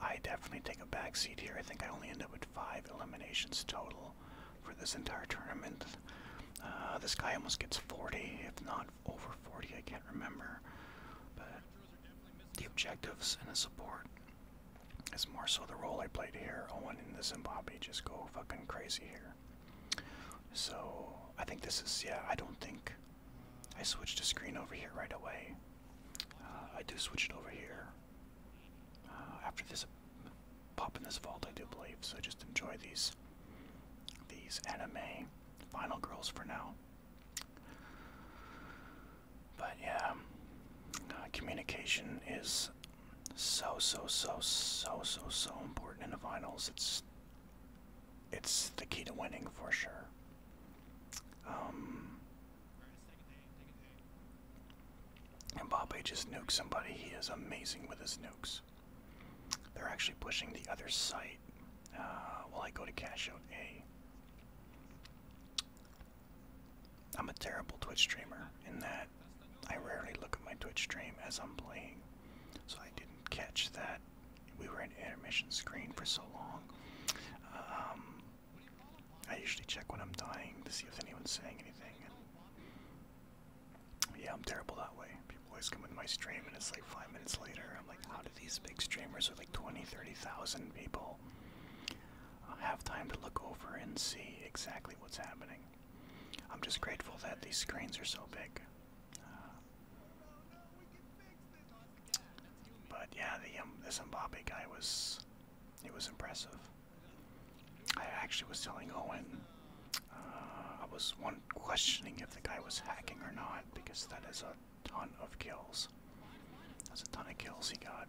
I definitely take a back seat here. I think I only end up with five eliminations total for this entire tournament. Uh, this guy almost gets 40, if not over 40, I can't remember. But the objectives and the support is more so the role I played here. Owen and the Zimbabwe just go fucking crazy here. So I think this is, yeah, I don't think I switched the screen over here right away. Uh, I do switch it over here. Uh, after this, pop in this vault, I do believe. So just enjoy these, these anime final girls for now. But yeah, um, uh, communication is so so so so so so important in the finals. It's it's the key to winning for sure. Um, Mbappe just nukes somebody. He is amazing with his nukes. They're actually pushing the other side. uh, while I go to cash out A. I'm a terrible Twitch streamer in that I rarely look at my Twitch stream as I'm playing, so I didn't catch that we were in intermission screen for so long. Um, I usually check when I'm dying to see if anyone's saying anything. yeah, I'm terrible that way. People always come into my stream and it's like five minutes later. I'm like, how do these big streamers with like 20, 30,000 people uh, have time to look over and see exactly what's happening? I'm just grateful that these screens are so big. Uh, but yeah, the um, this guy was, it was impressive. I actually was telling Owen, uh, I was one questioning if the guy was hacking or not because that is a ton of kills. That's a ton of kills he got.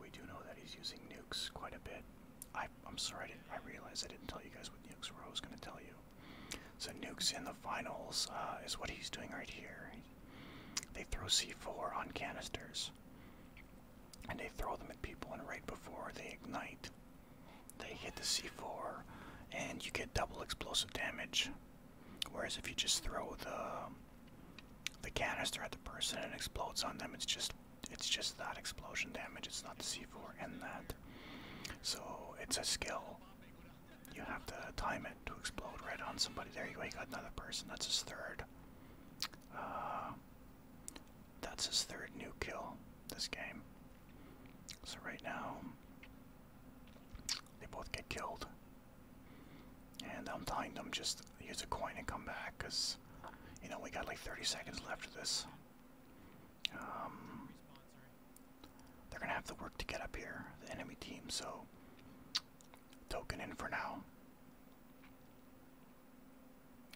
We do know that he's using nukes quite a bit. I, I'm sorry, I, didn't, I realized I didn't tell you guys what nukes were. I was going to tell you. So nukes in the finals uh, is what he's doing right here. They throw C4 on canisters and they throw them at people, and right before they ignite, they hit the C4, and you get double explosive damage. Whereas if you just throw the the canister at the person and it explodes on them, it's just it's just that explosion damage. It's not the C4 and that. So it's a skill. You have to time it to explode right on somebody. There you go. You got another person. That's his third. Uh, that's his third new kill this game. So right now, they both get killed. And I'm telling them just use a coin and come back because, you know, we got like 30 seconds left of this. Um, they're going to have to work to get up here, the enemy team, so token in for now.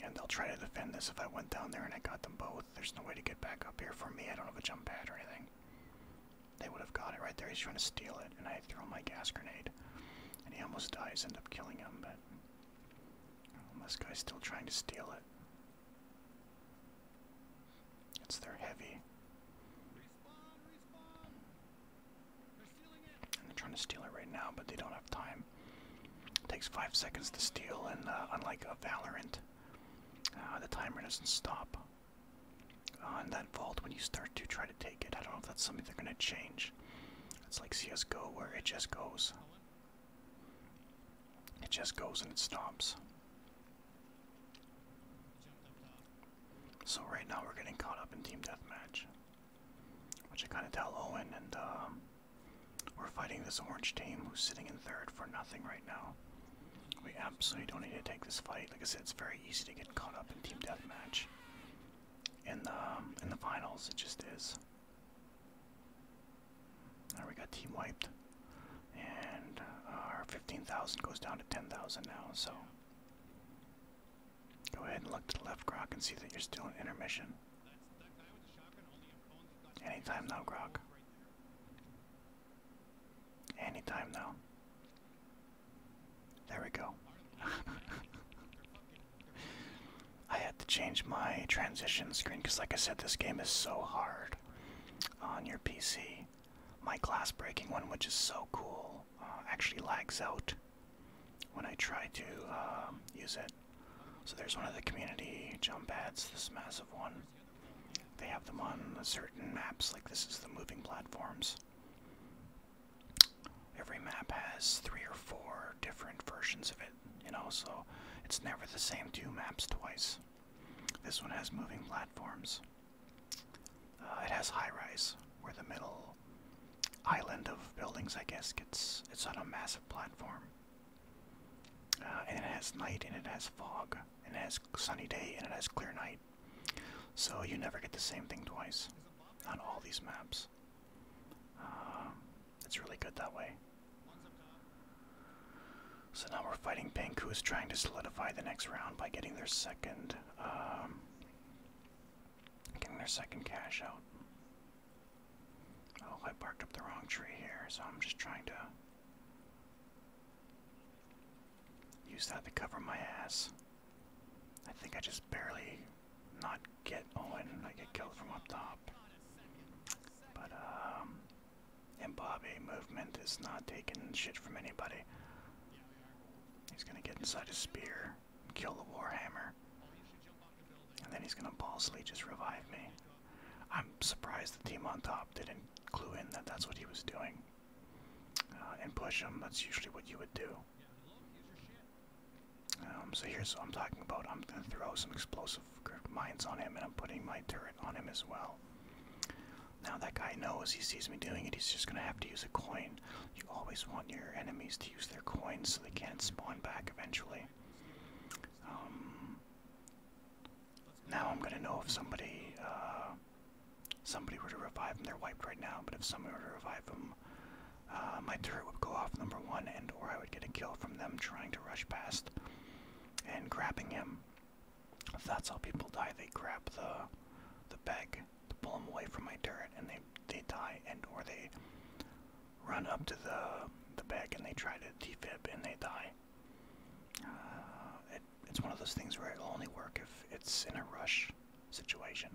And they'll try to defend this if I went down there and I got them both. There's no way to get back up here for me. I don't have a jump pad or anything. They would have got it right there. He's trying to steal it, and I throw my gas grenade. And he almost dies, end up killing him, but. this guy's still trying to steal it. It's their heavy they're trying to steal it right now, but they don't have time. It takes five seconds to steal, and uh, unlike a Valorant, uh, the timer doesn't stop on uh, that vault when you start to try to take it. I don't know if that's something they're going to change. It's like CSGO where it just goes. It just goes and it stops. So right now we're getting caught up in team deathmatch. Which I kind of tell Owen, and um, we're fighting this orange team who's sitting in third for nothing right now. We absolutely don't need to take this fight. Like I said, it's very easy to get caught up in team deathmatch. In the um, in the finals, it just is. Now we got team wiped, and our 15,000 goes down to 10,000 now. So Go ahead and look to the left, Grok, and see that you're still in intermission. Anytime now, Grok. Anytime now. There we go. I had to change my transition screen because, like I said, this game is so hard on your PC. My glass breaking one, which is so cool, uh, actually lags out when I try to um, use it. So there's one of the community jump pads, this massive one. They have them on certain maps, like this is the moving platforms. Every map has three or four different versions of it, you know, so it's never the same two maps twice. This one has moving platforms. Uh, it has high rise, where the middle island of buildings, I guess. It's it's on a massive platform, uh, and it has night, and it has fog, and it has sunny day, and it has clear night. So you never get the same thing twice on all these maps. Um, it's really good that way. So now we're fighting Pink, who is trying to solidify the next round by getting their second, um, getting their second cash out. Oh, I barked up the wrong tree here, so I'm just trying to use that to cover my ass. I think I just barely not get Owen. I get killed from up top. But, um, and Bobby movement is not taking shit from anybody. He's gonna get inside his spear and kill the Warhammer. And then he's going to balsly just revive me. I'm surprised the team on top didn't clue in that that's what he was doing. Uh, and push him, that's usually what you would do. Um, so here's what I'm talking about. I'm going to throw some explosive mines on him and I'm putting my turret on him as well. Now that guy knows he sees me doing it, he's just going to have to use a coin. You always want your enemies to use their coins so they can't spawn back eventually. Um, now I'm gonna know if somebody uh, somebody were to revive them. They're wiped right now, but if someone were to revive them, uh, my turret would go off number one, and or I would get a kill from them trying to rush past and grabbing him. If that's how people die, they grab the the bag pull them away from my turret, and they they die, and or they run up to the the back and they try to defib and they die. Uh, it, it's one of those things where it'll only work if it's in a rush situation.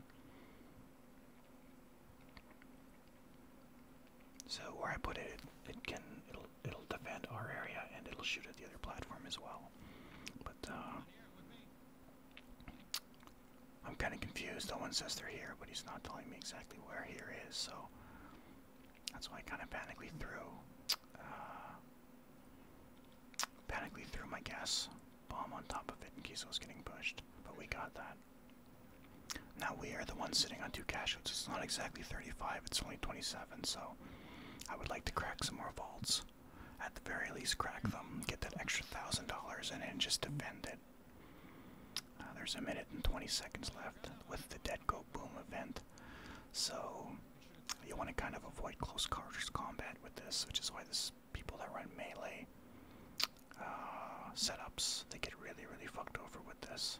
So where I put it, it, can it'll it'll defend our area and it'll shoot at the other platform as well. But uh, I'm kind of confused. one says they're here, but he's not telling me exactly where here is, so that's why I kind of panically threw, uh, threw my gas bomb on top of it in case it was getting pushed. But we got that. Now we are the ones sitting on two cashouts. It's not exactly 35; it's only 27. So I would like to crack some more vaults. At the very least, crack them, get that extra thousand dollars in, and just defend it. Uh, there's a minute and 20 seconds left with the dead Deadco Boom event, so you want to kind of avoid close quarters combat with this, which is why this people that run melee uh, setups they get really, really fucked over with this.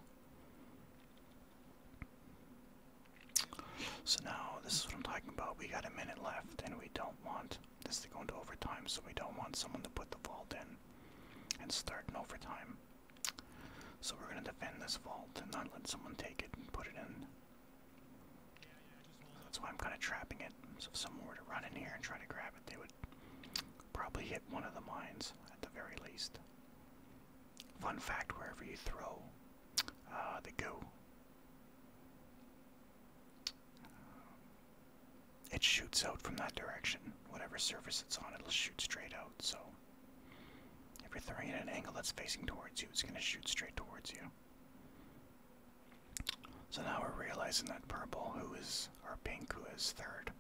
So now this is what I'm talking about. We got a minute left, and we don't want this is going to overtime, so we don't want someone to put the vault in and start an overtime. So we're going to defend this vault and not let someone take it and put it in. That's why I'm kind of trapping it. So if someone were to run in here and try to grab it, they would probably hit one of the mines at the very least. Fun fact, wherever you throw uh, the goo, it shoots out from that direction. Whatever surface it's on, it'll shoot straight out. So if you're throwing it at an angle that's facing towards you, it's going to shoot straight towards you. So now we're realizing that purple, who is, or pink, who is third,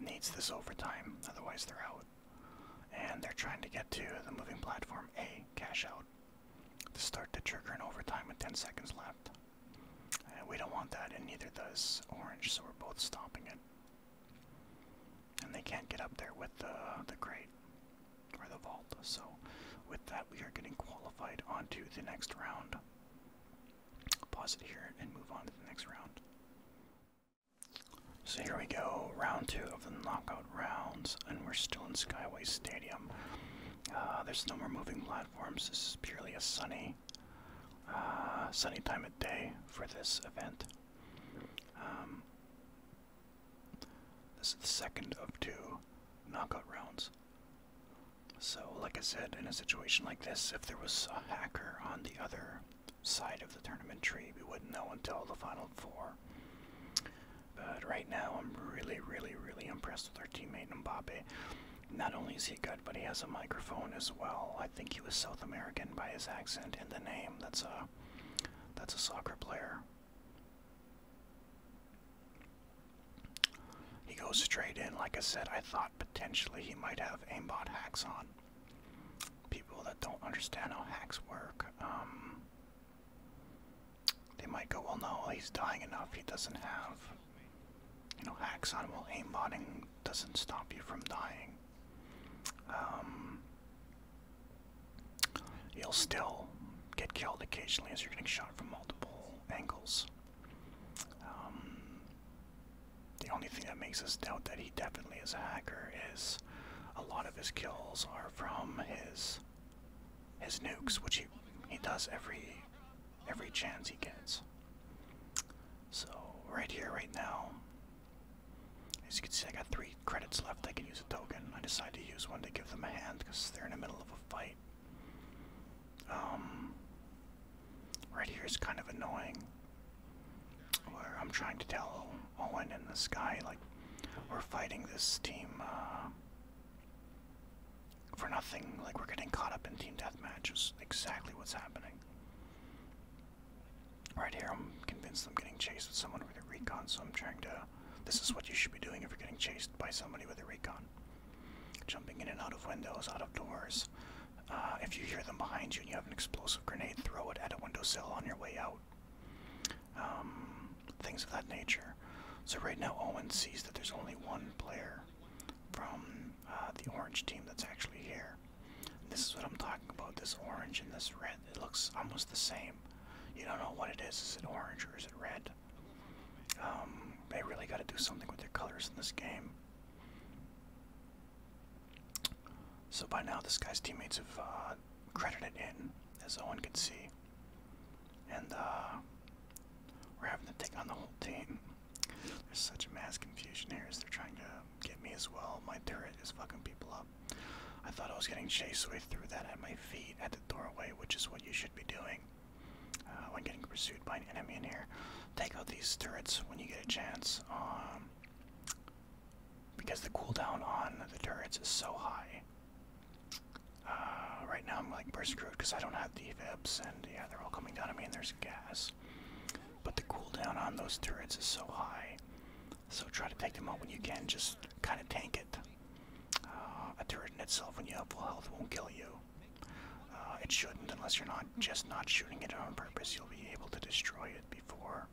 needs this overtime, otherwise they're out. And they're trying to get to the moving platform A, cash out, to start to trigger an overtime with 10 seconds left. And we don't want that, and neither does orange, so we're both stopping it. And they can't get up there with the, the crate or the vault. So, with that, we are getting qualified onto the next round. Pause it here and move on to the next round. So here we go, round two of the knockout rounds, and we're still in Skyway Stadium. Uh, there's no more moving platforms. This is purely a sunny uh, sunny time of day for this event. Um, this is the second of two knockout rounds. So, like I said, in a situation like this, if there was a hacker on the other side of the tournament tree, we wouldn't know until the final four. But right now, I'm really, really, really impressed with our teammate Mbappe. Not only is he good, but he has a microphone as well. I think he was South American by his accent and the name. That's a that's a soccer player. He goes straight in. Like I said, I thought potentially he might have aimbot hacks on. People that don't understand how hacks work, um, they might go, well, no, he's dying enough. He doesn't have you know, hacks on while aimbotting doesn't stop you from dying. Um, you'll still get killed occasionally as you're getting shot from multiple angles. Um, the only thing that makes us doubt that he definitely is a hacker is a lot of his kills are from his his nukes, which he he does every every chance he gets. So, right here, right now, as you can see, I got three credits left. I can use a token. I decided to use one to give them a hand because they're in the middle of a fight. Um, right here is kind of annoying. Where I'm trying to tell Owen and this guy, like, we're fighting this team, uh, for nothing. Like we're getting caught up in team deathmatch is exactly what's happening. Right here, I'm convinced I'm getting chased with someone with a recon, so I'm trying to. This is what you should be doing if you're getting chased by somebody with a recon. Jumping in and out of windows, out of doors. Uh, if you hear them behind you and you have an explosive grenade, throw it at a window sill on your way out. Um, things of that nature. So right now, Owen sees that there's only one player from uh, the orange team that's actually here. This is what I'm talking about. This orange and this red. It looks almost the same. You don't know what it is. Is it orange or is it red? Um, they really got to do something with their colors in this game. So by now, this guy's teammates have uh, credited in, as Owen could see. And uh, we're having to take on the whole team. There's such mass confusion here as they're trying to get me as well. My turret is fucking people up. I thought I was getting chased away through that at my feet at the doorway, which is what you should be doing uh, when getting pursued by an enemy in here. Take out these turrets when you get a chance, um, because the cooldown on the turrets is so high. Uh, right now I'm like, we're because I don't have the VIPs, and yeah, they're all coming down on me, and there's gas. But the cooldown on those turrets is so high, so try to take them out when you can. Just kind of tank it. Uh, a turret in itself, when you have full health, won't kill you. Uh, it shouldn't, unless you're not just not shooting it on purpose. You'll be able to destroy it before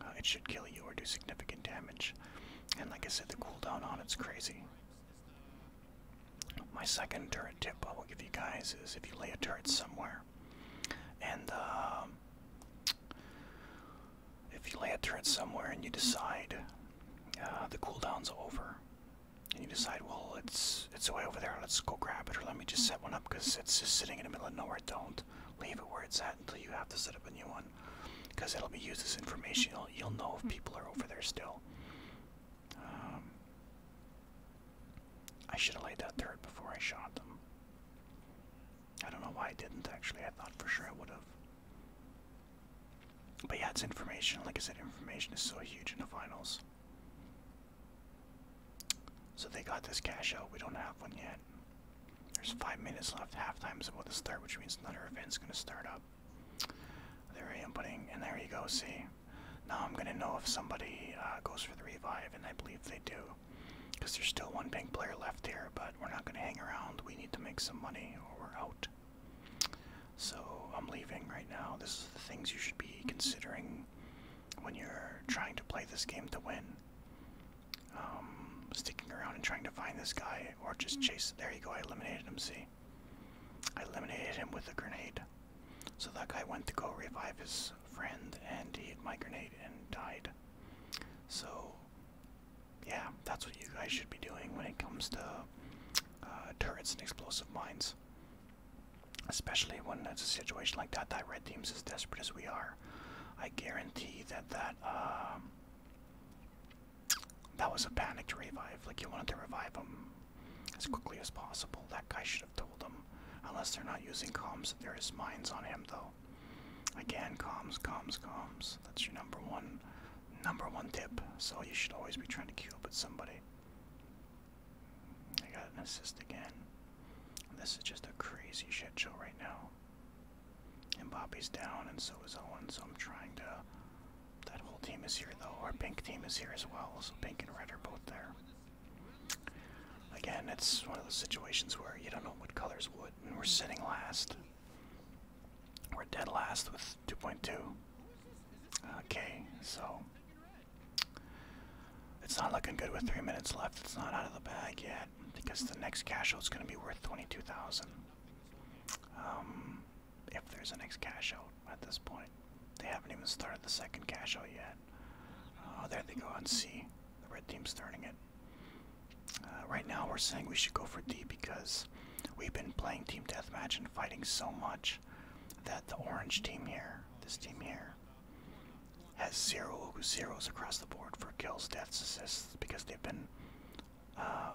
uh, it should kill you or do significant damage. And like I said, the cooldown on it's crazy. My second turret tip I will give you guys is if you lay a turret somewhere, and um, if you lay a turret somewhere and you decide uh, the cooldown's over, and you decide, well, it's it's way over there, let's go grab it, or let me just set one up because it's just sitting in the middle of nowhere. Don't leave it where it's at until you have to set up a new one, because it'll be used as information. You'll, you'll know if people are over there still. Um, I should have laid that third before I shot them. I don't know why I didn't actually. I thought for sure I would have. But yeah, it's information. Like I said, information is so huge in the finals. So they got this cash out. We don't have one yet. There's five minutes left. Halftime's about to start, which means another event's going to start up. There I am putting, and there you go. See, now I'm gonna know if somebody uh, goes for the revive, and I believe they do, because there's still one pink player left here. But we're not gonna hang around. We need to make some money, or we're out. So I'm leaving right now. This is the things you should be considering when you're trying to play this game to win. Um, sticking around and trying to find this guy, or just chase. There you go. I eliminated him. See, I eliminated him with a grenade. So that guy went to go revive his friend, and he hit my grenade and died. So, yeah, that's what you guys should be doing when it comes to uh, turrets and explosive mines. Especially when it's a situation like that, that red team's as desperate as we are. I guarantee that that um, that was a panicked revive. Like you wanted to revive him as quickly as possible. That guy should have told them. Unless they're not using comms, there is mines on him though. Again, comms, comms, comms. That's your number one, number one tip. So you should always be trying to queue up with somebody. I got an assist again. This is just a crazy shit show right now. And Bobby's down, and so is Owen. So I'm trying to. That whole team is here though. Our pink team is here as well. So pink and red are both there. Again, it's one of those situations where you don't know what colors would, and we're sitting last. We're dead last with 2.2. Okay, so it's not looking good with three minutes left. It's not out of the bag yet because the next cash out is going to be worth 22,000. Um, if there's a next cash out at this point. They haven't even started the second cash yet. Oh, there they go on C. The red team's starting it. Uh, right now, we're saying we should go for D because we've been playing team deathmatch and fighting so much that the orange team here, this team here, has zero zeros across the board for kills, deaths, assists because they've been uh,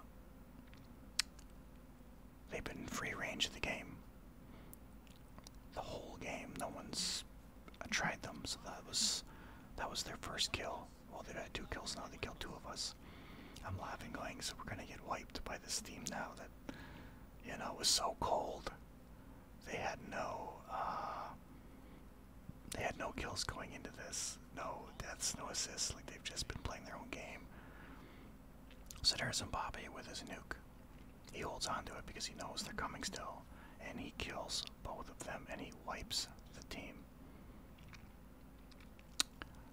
They've been free range of the game. The whole game, no one's uh, tried them, so that was that was their first kill. Well, they've had two kills now. They killed two of us. I'm laughing, going, so we're gonna get wiped by this team now. That you know it was so cold. They had no uh, they had no kills going into this. No deaths, no assists. Like they've just been playing their own game. So there's Mbappe with his nuke. He holds on to it because he knows they're coming still, and he kills both of them and he wipes the team.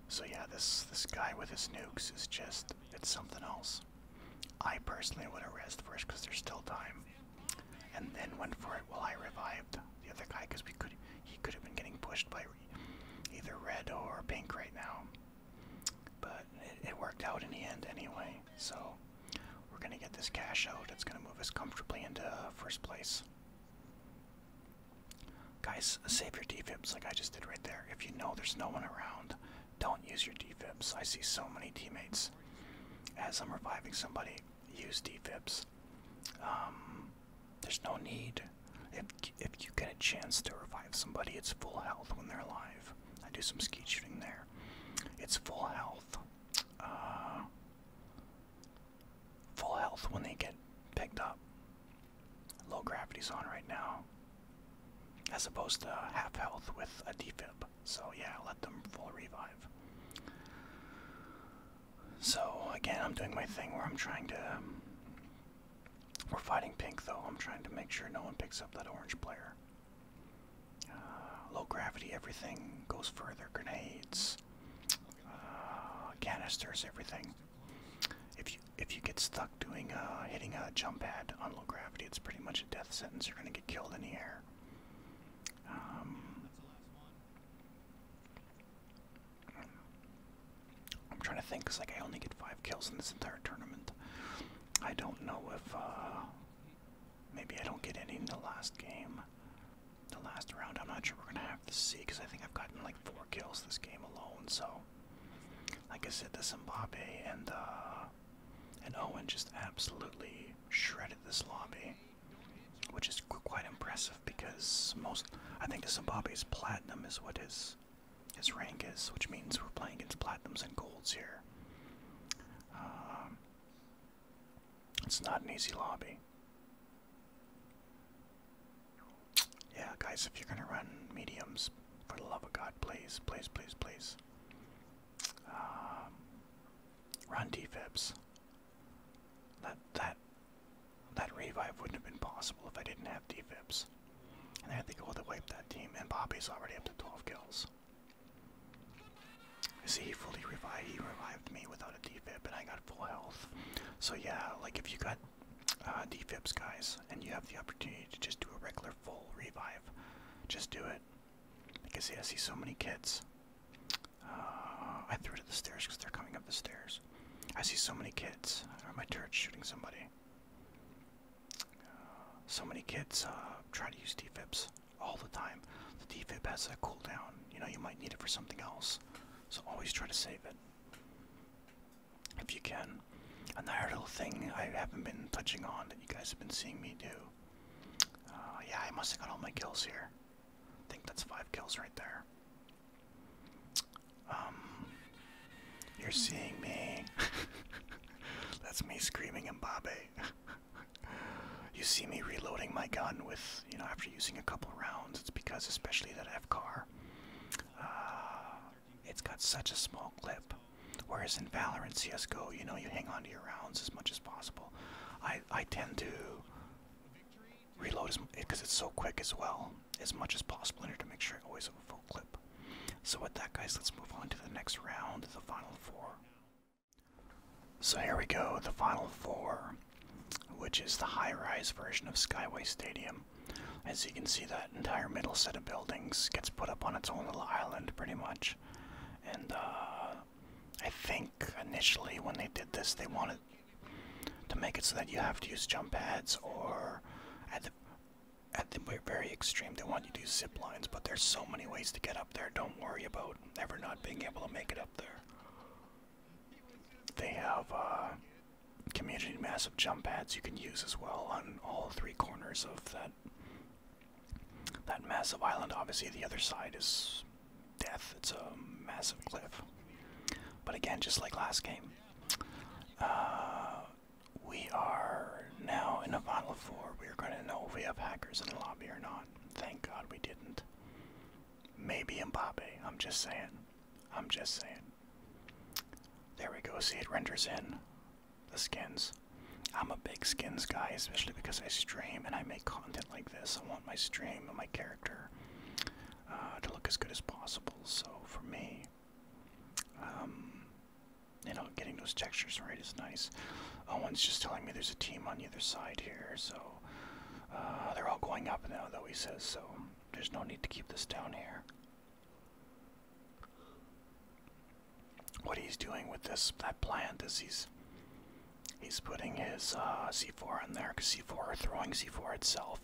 So yeah, this this guy with his nukes is just it's something else. I personally would have rezzed first because there's still time, and then went for it while I revived the other guy because we could he could have been getting pushed by either red or pink right now. But it, worked out in the end anyway, so we're going to get this cash out. It's going to move us comfortably into uh, first place. Guys, save your defibs like I just did right there. If you know there's no one around, don't use your defibs. I see so many teammates as I'm reviving somebody use defibs. Um, there's no need. If if you get a chance to revive somebody, it's full health when they're alive. I do some skeet shooting there. It's full health. Uh, full health when they get picked up. Low gravity's on right now. As opposed to half health with a defib. So yeah, let them full revive. So again, I'm doing my thing where I'm trying to. we're fighting pink though. I'm trying to make sure no one picks up that orange player. Uh, low gravity, everything goes further. Grenades, uh, canisters, everything. If you if you get stuck doing uh, hitting a jump pad on low gravity, it's pretty much a death sentence. You're gonna get killed in the air. Um, I'm trying to think, cause like I only get five kills in this entire tournament. I don't know if uh, maybe I don't get any in the last game, the last round. I'm not sure we're gonna have to see because I think I've gotten like four kills this game alone. So, like I said, the Zimbabwe and uh, and Owen just absolutely shredded this lobby, which is quite impressive because most I think the Zimbabwe's platinum is what is his rank is, which means we're playing against platinums and golds here. Um, it's not an easy lobby. Yeah, guys, if you're gonna run mediums, for the love of God, please, please, please, please. Um, run defibs. That that that revive wouldn't have been possible if I didn't have defibs. And I think it would have wiped that team. And Bobby's already up to 12 kills. You see, he fully revived. He revived me without a defib, and I got full health. So yeah, like if you got uh, defibs, guys, and you have the opportunity to just do a regular full revive, just do it. Because yeah, I see so many kids. Uh, I threw to the stairs because they're coming up the stairs. I see so many kids. Or my turret shooting somebody. So many kids uh, try to use TFIBs all the time. The TFIB has a cooldown. You know, you might need it for something else. So always try to save it if you can. Another little thing I haven't been touching on that you guys have been seeing me do. Uh, yeah, I must have got all my kills here. I think that's five kills right there. Um, you're seeing me. That's me screaming in Mbappe. you see me reloading my gun with, you know, after using a couple rounds. It's because, especially that F car, uh, it's got such a small clip. Whereas in Valor and CSGO, you know, you hang on to your rounds as much as possible. I, I tend to reload because it's so quick as well, as much as possible in order to make sure I always have a full clip. So with that guys, let's move on to the next round, the final four. So here we go, the final four, which is the high-rise version of Skyway Stadium. As you can see, that entire middle set of buildings gets put up on its own little island, pretty much. And uh, I think initially when they did this, they wanted to make it so that you have to use jump pads or at the very extreme, they want you to do zip lines, but there's so many ways to get up there. Don't worry about ever not being able to make it up there. They have uh, community massive jump pads you can use as well on all three corners of that that massive island. Obviously, the other side is death. It's a massive cliff. But again, just like last game, uh, we are now in a final four. We're going to know if we have hackers in the lobby or not. Thank God we didn't. Maybe Mbappe. I'm just saying. I'm just saying. There we go. See, it renders in the skins. I'm a big skins guy, especially because I stream and I make content like this. I want my stream and my character uh, to look as good as possible. So for me, um, you know, getting those textures right is nice. Uh, Owen's just telling me there's a team on either side here, so uh, they're all going up now, though, he says, so there's no need to keep this down here. What he's doing with this that plant is he's he's putting his uh, C4 in there because C4 throwing C4 itself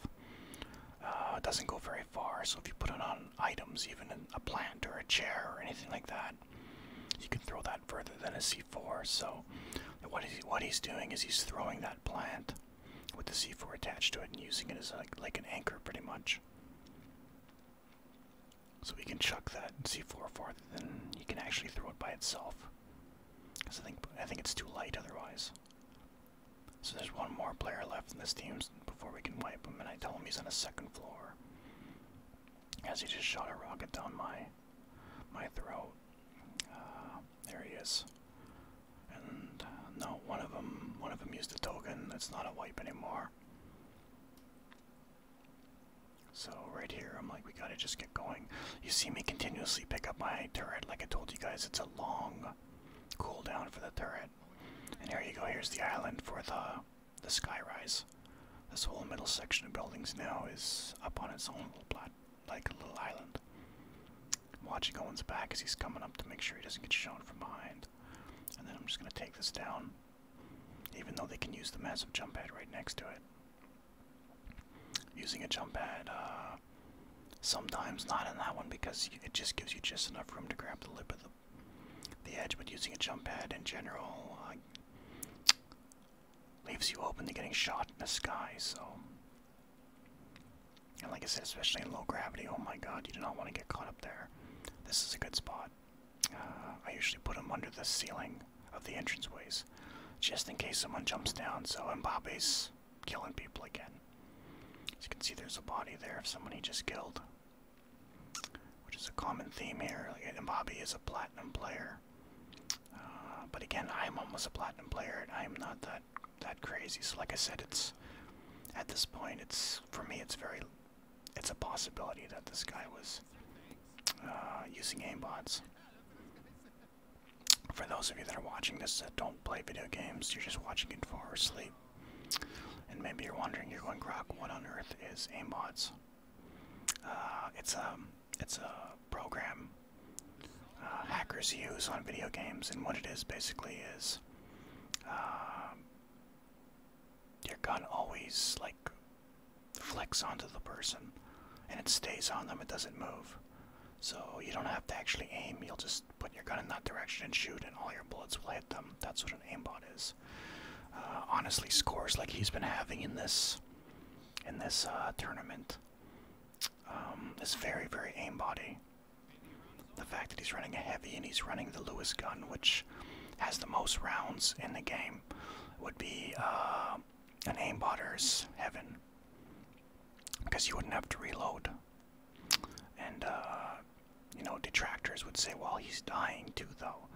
doesn't go very so if you put it on items, even a plant or a chair or anything like that, you can throw that further than a C4. So what, is he, what he's doing is he's throwing that plant with the C4 attached to it and using it as like an anchor pretty much. So we can chuck that C4 farther than you can actually throw it by itself. Because I think, I think it's too light otherwise. So there's one more player left in this team before we can wipe him, and I tell him he's on a second floor for. As he just shot a rocket down my my throat. Uh, there he is. And uh, no, one of them one of them used a token. That's not a wipe anymore. So right here, I'm like, we gotta just get going. You see me continuously pick up my turret. Like I told you guys, it's a long cooldown for the turret. And here you go. Here's the island for the the skyrise. This whole middle section of buildings now is up on its own little plot, like a little island. I'm watching Owen's back as he's coming up to make sure he doesn't get shown from behind. And then I'm just going to take this down, even though they can use the massive jump pad right next to it. Using a jump pad, uh, sometimes not in that one because it just gives you just enough room to grab the lip of the the edge, but using a jump pad in general uh, leaves you open to getting shot in the sky. So, and like I said, especially in low gravity, oh my god, you do not want to get caught up there. This is a good spot. Uh, I usually put them under the ceiling of the entranceways, just in case someone jumps down. So Mbappe's killing people again. As you can see, there's a body there of someone he just killed which is a common theme here. Like, Bobby is a platinum player, uh, but again, I'm almost a platinum player, I'm not that that crazy. So, like I said, it's at this point, it's for me, it's very, it's a possibility that this guy was uh, using aimbots. For those of you that are watching this that don't play video games, you're just watching it for sleep. And maybe you're wondering, you're going, Grok, what on earth is aimbots? Uh, it's a um, it's a program uh, hackers use on video games, and what it is basically is um, your gun always like flicks onto the person, and it stays on them. It doesn't move, so you don't have to actually aim. You'll just put your gun in that direction and shoot, and all your bullets will hit them. That's what aimbot is. Uh, honestly, scores like he's been having in this in this uh, tournament um, is very, very aimbotty. The fact that he's running a heavy and he's running the Lewis gun, which has the most rounds in the game, would be uh, an aimbotter's heaven because you wouldn't have to reload. And uh, you know, detractors would say, well, he's dying too, though.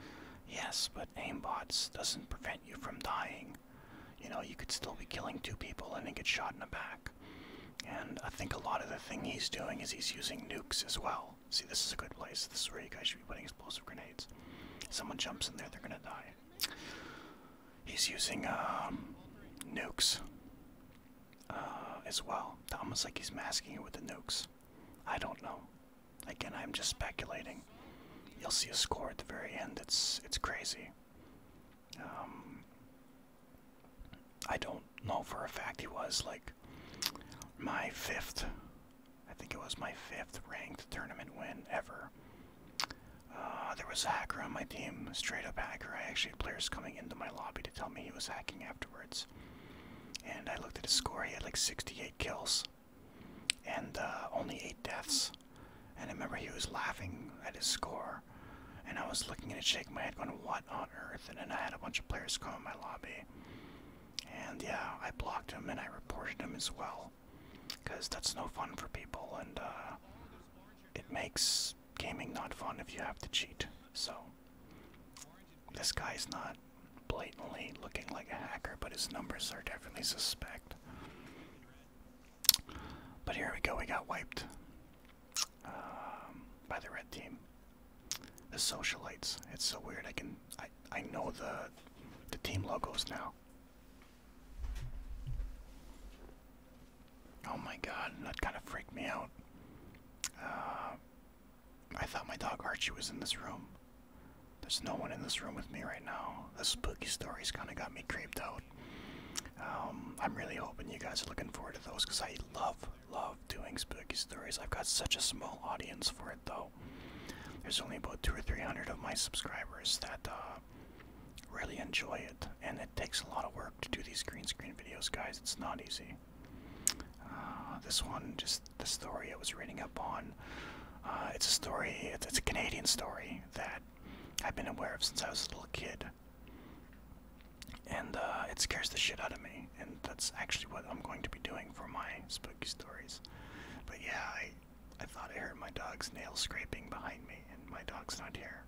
Yes, but aimbots doesn't prevent you from dying. You know, you could still be killing two people and then get shot in the back. And I think a lot of the thing he's doing is he's using nukes as well. See, this is a good place. This is where you guys should be putting explosive grenades. If someone jumps in there, they're gonna die. He's using um, nukes uh, as well. Almost like he's masking it with the nukes. I don't know. Again, I'm just speculating. You'll see a score at the very end. It's it's crazy. Um, I don't know for a fact he was like my fifth. I think it was my fifth ranked tournament win ever. Uh, there was a hacker on my team, straight up hacker. I actually had players coming into my lobby to tell me he was hacking afterwards. And I looked at his score, he had like 68 kills and uh, only 8 deaths. And I remember he was laughing at his score. And I was looking at it, shaking my head, going, What on earth? And then I had a bunch of players come in my lobby. And yeah, I blocked him and I reported him as well. Because that's no fun for people, and uh, it makes gaming not fun if you have to cheat. So, this guy's not blatantly looking like a hacker, but his numbers are definitely suspect. But here we go, we got wiped um, by the red team. The socialites. It's so weird. I can I I know the the team logos now. Oh my god, that kind of freaked me out. Uh, I thought my dog Archie was in this room. There's no one in this room with me right now. The spooky stories kind of got me creeped out. Um, I'm really hoping you guys are looking forward to those because I love, love doing spooky stories. I've got such a small audience for it though. There's only about two or three hundred of my subscribers that uh, really enjoy it, and it takes a lot of work to do these green screen videos, guys. It's not easy. Uh, this one, just the story I was reading up on. Uh, it's a story, it's, a Canadian story that I've been aware of since I was a little kid. And uh, it scares the shit out of me. And that's actually what I'm going to be doing for my spooky stories. But yeah, I, I thought I heard my dog's nail scraping behind me, and my dog's not here.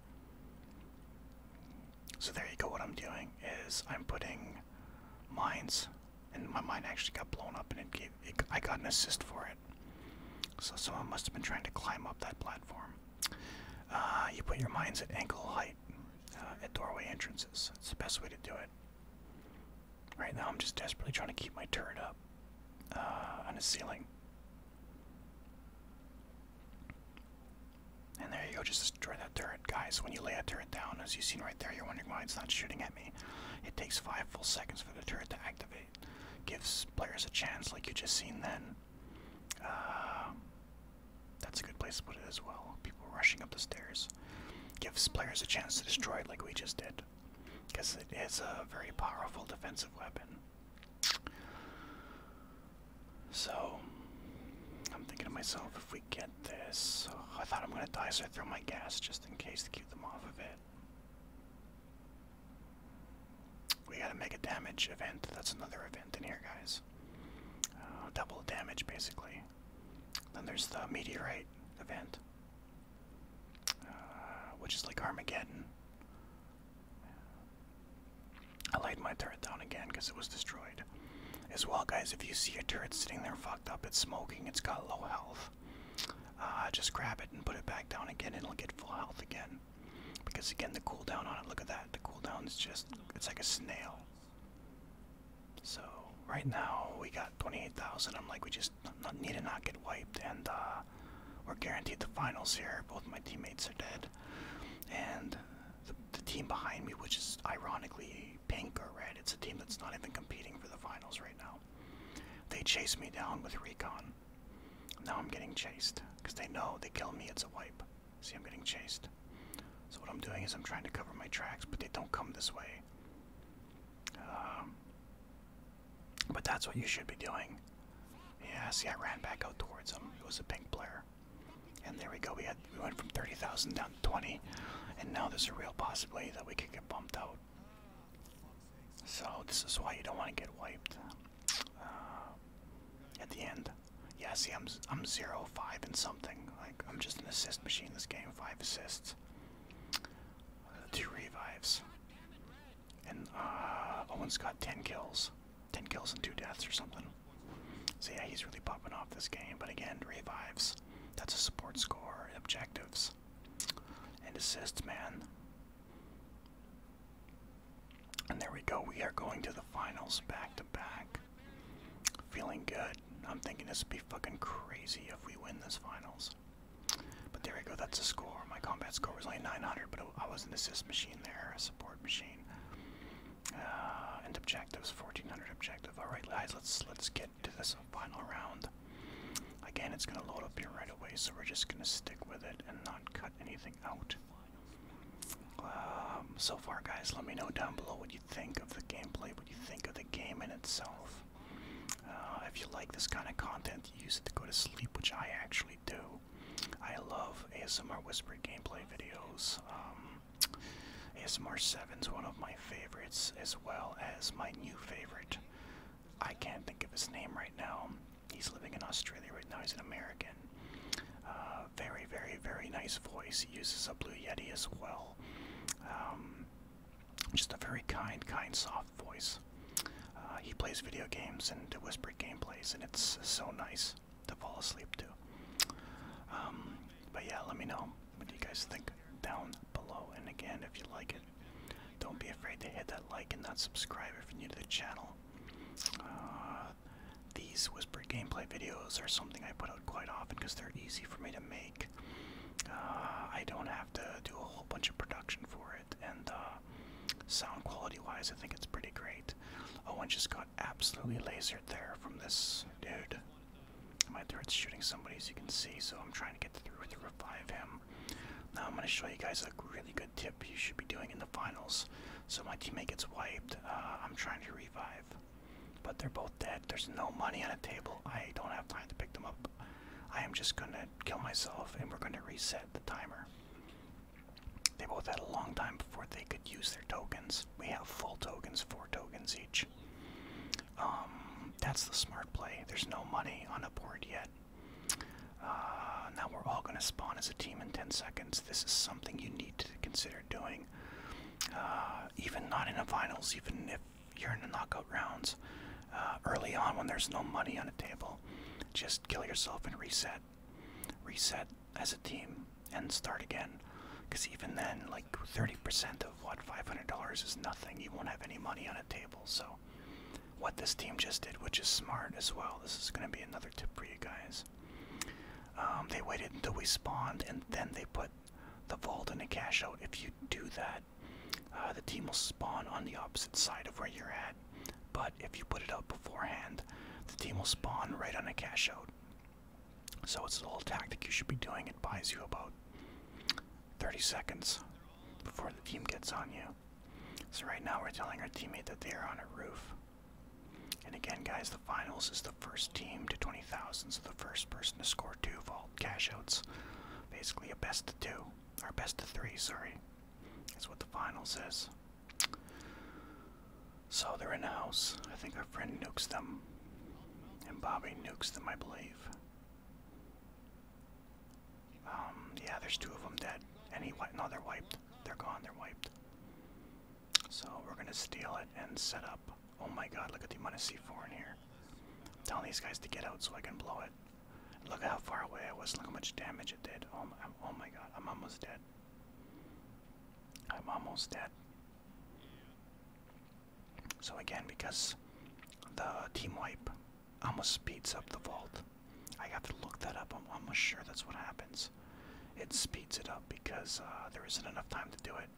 So there you go, what I'm doing is I'm putting mines and my mind actually got blown up, and it gave I got an assist for it. So someone must have been trying to climb up that platform. Uh, you put your minds at ankle height uh, at doorway entrances. It's the best way to do it. Right now, I'm just desperately trying to keep my turret up uh, on a ceiling. And there you go, just destroy that turret. Guys, when you land, a turret, down. As you've seen right there, you're wondering why it's not shooting at me. It takes five full seconds for the turret to activate. Gives players a chance, like you just seen then. Uh, that's a good place to put it as well. People rushing up the stairs. Gives players a chance to destroy it, like we just did. Because it is a very powerful defensive weapon. So, I'm thinking to myself, if we get this. I thought I'm gonna die, so I throw my gas just in case to keep them off of it. We gotta make a damage event. That's another event in here, guys. Uh, double damage, basically. Then there's the meteorite event, uh, which is like Armageddon. I laid my turret down again because it was destroyed. As well, guys, if you see a turret sitting there fucked up, it's smoking, it's got low health, uh, just grab it and put it back down again, it'll get full health again. Because, again, the cooldown on it, look at that, the cooldown is just, it's like a snail. So, right now, we got 28,000. I'm like, we just need to not get wiped, and uh, we're guaranteed the finals here. Both my teammates are dead. And the team behind me, which is ironically pink or red. It's a team that's not even competing for the finals right now. They chase me down with recon. Now I'm getting chased because they know they kill me. It's a wipe. See, I'm getting chased. So what I'm doing is I'm trying to cover my tracks, but they don't come this way. Um, but that's what you should be doing. Yeah, see, I ran back out towards them. It was a pink player. And there we go. We had we went from 30,000 down to 20, and now there's a real possibility that we could get bumped out. So this is why you don't want to get wiped uh, at the end. Yeah, see, I'm I'm zero five and something. Like I'm just an assist machine this game. Five assists, two revives, and uh, Owen's got ten kills, ten kills and two deaths or something. So yeah, he's really popping off this game. But again, revives. That's a support score objectives. And assists, man. And there we go. We are going to the finals back to back. Feeling good. I'm thinking this would be fucking crazy if we win this finals. But there we go. That's a score. My combat score was only 900, but I was an assist machine there, a support machine. Uh, and objectives, 1400 objective. All right, guys. Let's let's get to this final round. Again, it's going to load up here right away, so we're just going to stick with it and not cut anything out. Um, so far, guys, let me know down below what you think of the gameplay, what you think of the game in itself. Uh, if you like this kind of content, use it to go to sleep, which I actually do. I love ASMR Whispered gameplay videos. Um, ASMR 7's one of my favorites, as well as my new favorite. I can't think of his name right now. He's living in Australia right now. He's an American. Uh, very, very, very nice voice. He uses a Blue Yeti as well. Um, just a very kind, kind, soft voice. Uh, he plays video games and whispers gameplays, and it's so nice to fall asleep to. Um, but yeah, let me know what you guys think down below. And again, if you like it, don't be afraid to hit that like and that subscribe if you're new to the channel. Uh, these whispered gameplay videos are something I put out quite often because they're easy for me to make. Uh, I don't have to do a whole bunch of production for it, and uh, sound quality wise, I think it's pretty great. Oh, I just got absolutely lasered there from this dude. My turret's shooting somebody, as you can see, so I'm trying to get through to revive him. Now I'm going to show you guys a really good tip you should be doing in the finals. So my teammate gets wiped. Uh, I'm trying to revive, but they're both dead. There's no money on the table. I don't have time to pick them up. I am just going to kill myself, and we're going to reset the timer. They both had a long time before they could use their tokens. We have full tokens, four tokens each. Um, that's the smart play. There's no money on a board yet. Uh, now we're all going to spawn as a team in 10 seconds. This is something you need to consider doing. Uh, even not in the finals, even if you're in the knockout rounds. Uh, early on when there's no money on a table, just kill yourself and reset. Reset as a team and start again. Because even then, like, 30% of what $500 is nothing. You won't have any money on a table. So, what this team just did, which is smart as well, this is going to be another tip for you guys. Um, they waited until we spawned and then they put the vault in a cash out. If you do that, uh, the team will spawn on the opposite side of where you're at. But if you put it out beforehand, the team will spawn right on a cash out. So it's a little tactic you should be doing. It buys you about 30 seconds before the team gets on you. So, right now, we're telling our teammate that they are on a roof. And again, guys, the finals is the first team to 20,000, so the first person to score two vault cash outs. Basically, a best of two, our best of three, sorry. That's what the finals is. So they're in a house. I think our friend nukes them. And Bobby nukes them, I believe. Um, yeah, there's two of them dead. Any no, they're wiped. They're gone. They're wiped. So we're gonna steal it and set up. Oh my God! Look at the amount C4 in here. telling these guys to get out so I can blow it. look how far away I was. Look how much damage it did. Oh my, oh my God! I'm almost dead. I'm almost dead. So again, because the team wipe almost speeds up the vault, I have to look that up. I'm almost sure that's what happens. It speeds it up because uh, there isn't enough time to do it.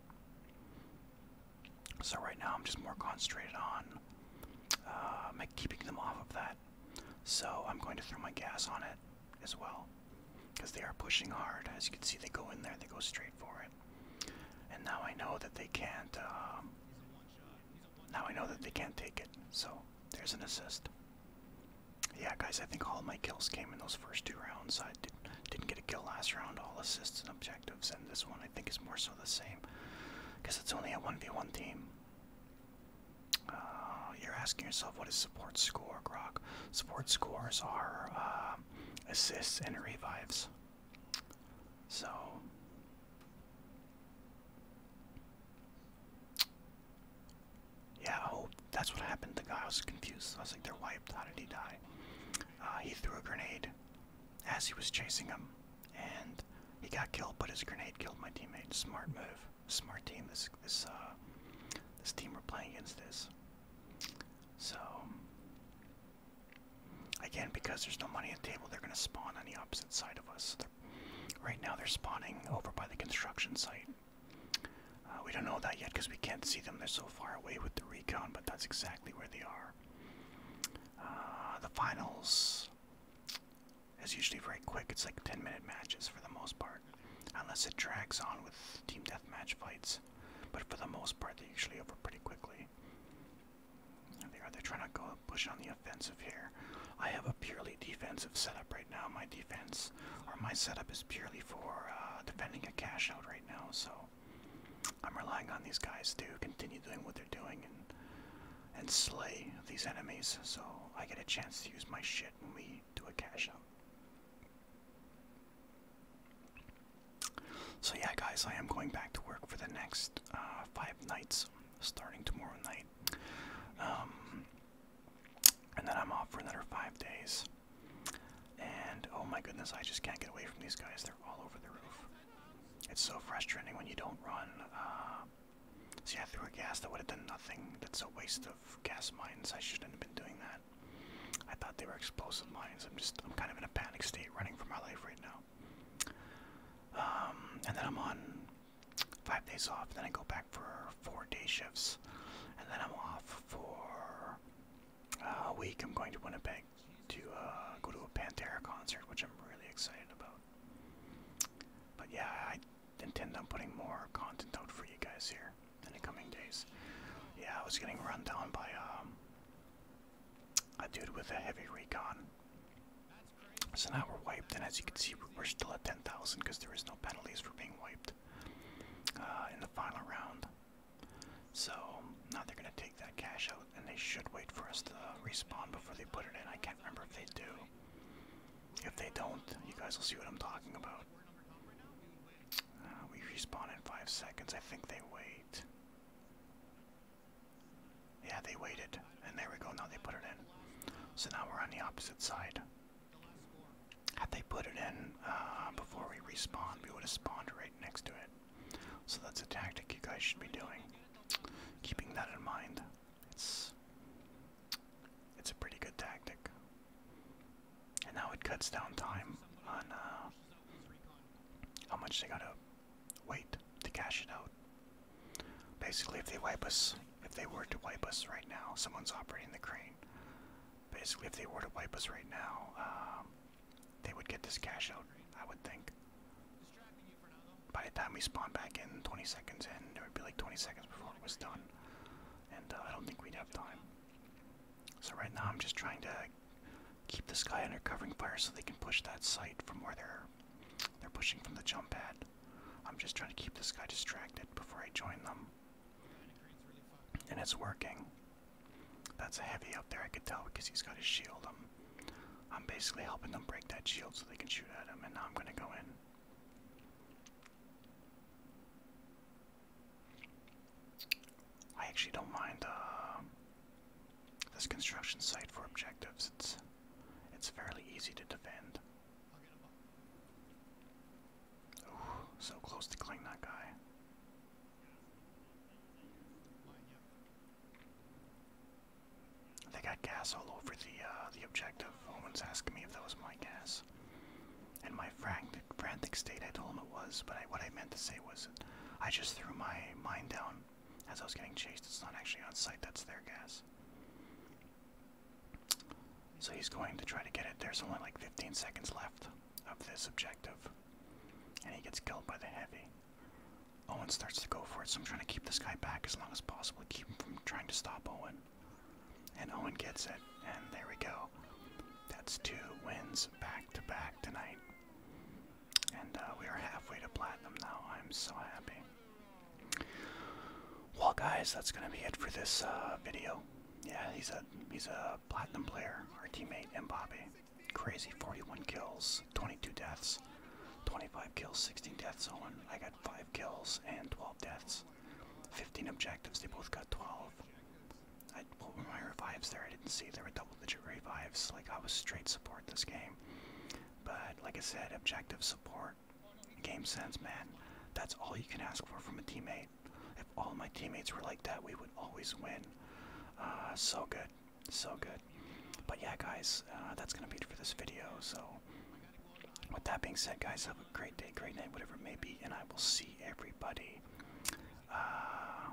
So right now I'm just more concentrated on uh, keeping them off of that. So I'm going to throw my gas on it as well because they are pushing hard. As you can see, they go in there, they go straight for it. And now I know that they can't. Um, now I know that they can't take it. So there's an assist. Yeah, guys, I think all my kills came in those first two rounds. I did, not get a kill last round, all assists and objectives, and this one I think is more so the same. Because it's only a 1v1 team. Uh, you're asking yourself, what is support score, Grok? Support scores are um, assists and revives. So yeah, that's what happened. The guy was confused. I was like, they're wiped. How did he die? Uh, he threw a grenade as he was chasing him, and he got killed. But his grenade killed my teammate. Smart move. Smart team. This this uh, this team we're playing against this. So Again, because there's no money at table, they're going to spawn on the opposite side of us. right now, they're spawning over by the construction site. Uh, we don't know that yet because we can't see them. They're so far away with the recon, but that's exactly where they are. Uh, the finals is usually very quick. It's like 10 minute matches for the most part, unless it drags on with team deathmatch fights. But for the most part, they usually over pretty quickly. They are. They're trying to go push on the offensive here. I have a purely defensive setup right now. My defense, or my setup, is purely for uh, defending a cash out right now. So I'm relying on these guys to continue doing what they're doing and and slay these enemies. So I get a chance to use my shit when we do a cash out. So yeah, guys, I am going back to work for the next uh, five nights, starting tomorrow night, um, and then I'm off for another five days. And oh my goodness, I just can't get away from these guys. They're all over the roof. It's so frustrating when you don't run. Uh, See, threw a gas that would have done nothing. That's a waste of gas mines. I shouldn't have been doing that. I thought they were explosive mines. I'm just, I'm kind of in a panic state running for my life right now. Um, and then I'm on five days off. Then I go back for four day shifts, and then I'm off for a week. I'm going to Winnipeg to uh, go to a Pantera concert, which I'm really excited about. But yeah, I intend on putting more content out for you guys here in the coming days. Yeah, I was getting run down by um, a dude with a heavy recon. So now we're wiped, and as you can see, we're still at 10,000 because there is no penalties for being wiped uh, in the final round. So now they're going to take that cash out, and they should wait for us to respawn before they put it in. I can't remember if they do. If they don't, you guys will see what I'm talking about. Uh, we respawn in five seconds. I think they wait. Yeah, they waited. And there we go, now they put it in. So now we're on the opposite side. Had they put it in uh, before we respawned, we would have spawned right next to it. So that's a tactic you guys should be doing. Keeping that in mind. It's it's a pretty good tactic. And now it cuts down time on uh, how much they got up wait to cash it out. Basically, if they wipe us, if they were to wipe us right now, someone's operating the crane. Basically, if they were to wipe us right now, um, they would get this cash out, I would think. By the time we spawn back in, 20 seconds in, it would be like 20 seconds before it was done. And uh, I don't think we'd have time. So right now I'm just trying to keep this guy under covering fire so they can push that site from where they're they're pushing from the jump pad. I'm just trying to keep this guy distracted before I join them. And it's working. That's a heavy up there, I could tell because he's got his shield. I'm, basically helping them break that shield so they can shoot at him, and now I'm going to go in. I actually don't mind uh, this construction site for objectives, it's it's fairly easy to defend. Ooh, so close to killing that guy. They got gas all over the uh, the objective. Woman's asking me if that was my gas. In my frantic, frantic state, I told him it was, but what I meant to say was, I just threw my mine down as I was getting chased. It's not actually on site, that's their gas. So he's going to try to get it. There's only like 15 seconds left of this objective. And he gets killed by the heavy. Owen starts to go for it, so I'm trying to keep this guy back as long as possible, keep him from trying to stop Owen. And Owen gets it, and there we go. That's two wins back to back tonight. And uh, we are halfway to platinum now. I'm so happy. Well, guys, that's gonna be it for this uh, video. Yeah, he's a he's a platinum player. Our teammate Bobby, crazy 41 kills, 22 deaths, 25 kills, 16 deaths. Owen, I got five kills and 12 deaths, 15 objectives. They both got 12. I, put my revives there? I didn't see. there were double legit revives. Like I was straight support this game, but like I said, objective support, game sense, man. That's all you can ask for from a teammate. If all my teammates were like that, we would always win. Uh, so good, so good. But yeah, guys, uh, that's gonna be it for this video. So, with that being said, guys, have a great day, great night, whatever it may be, and I will see everybody. Uh,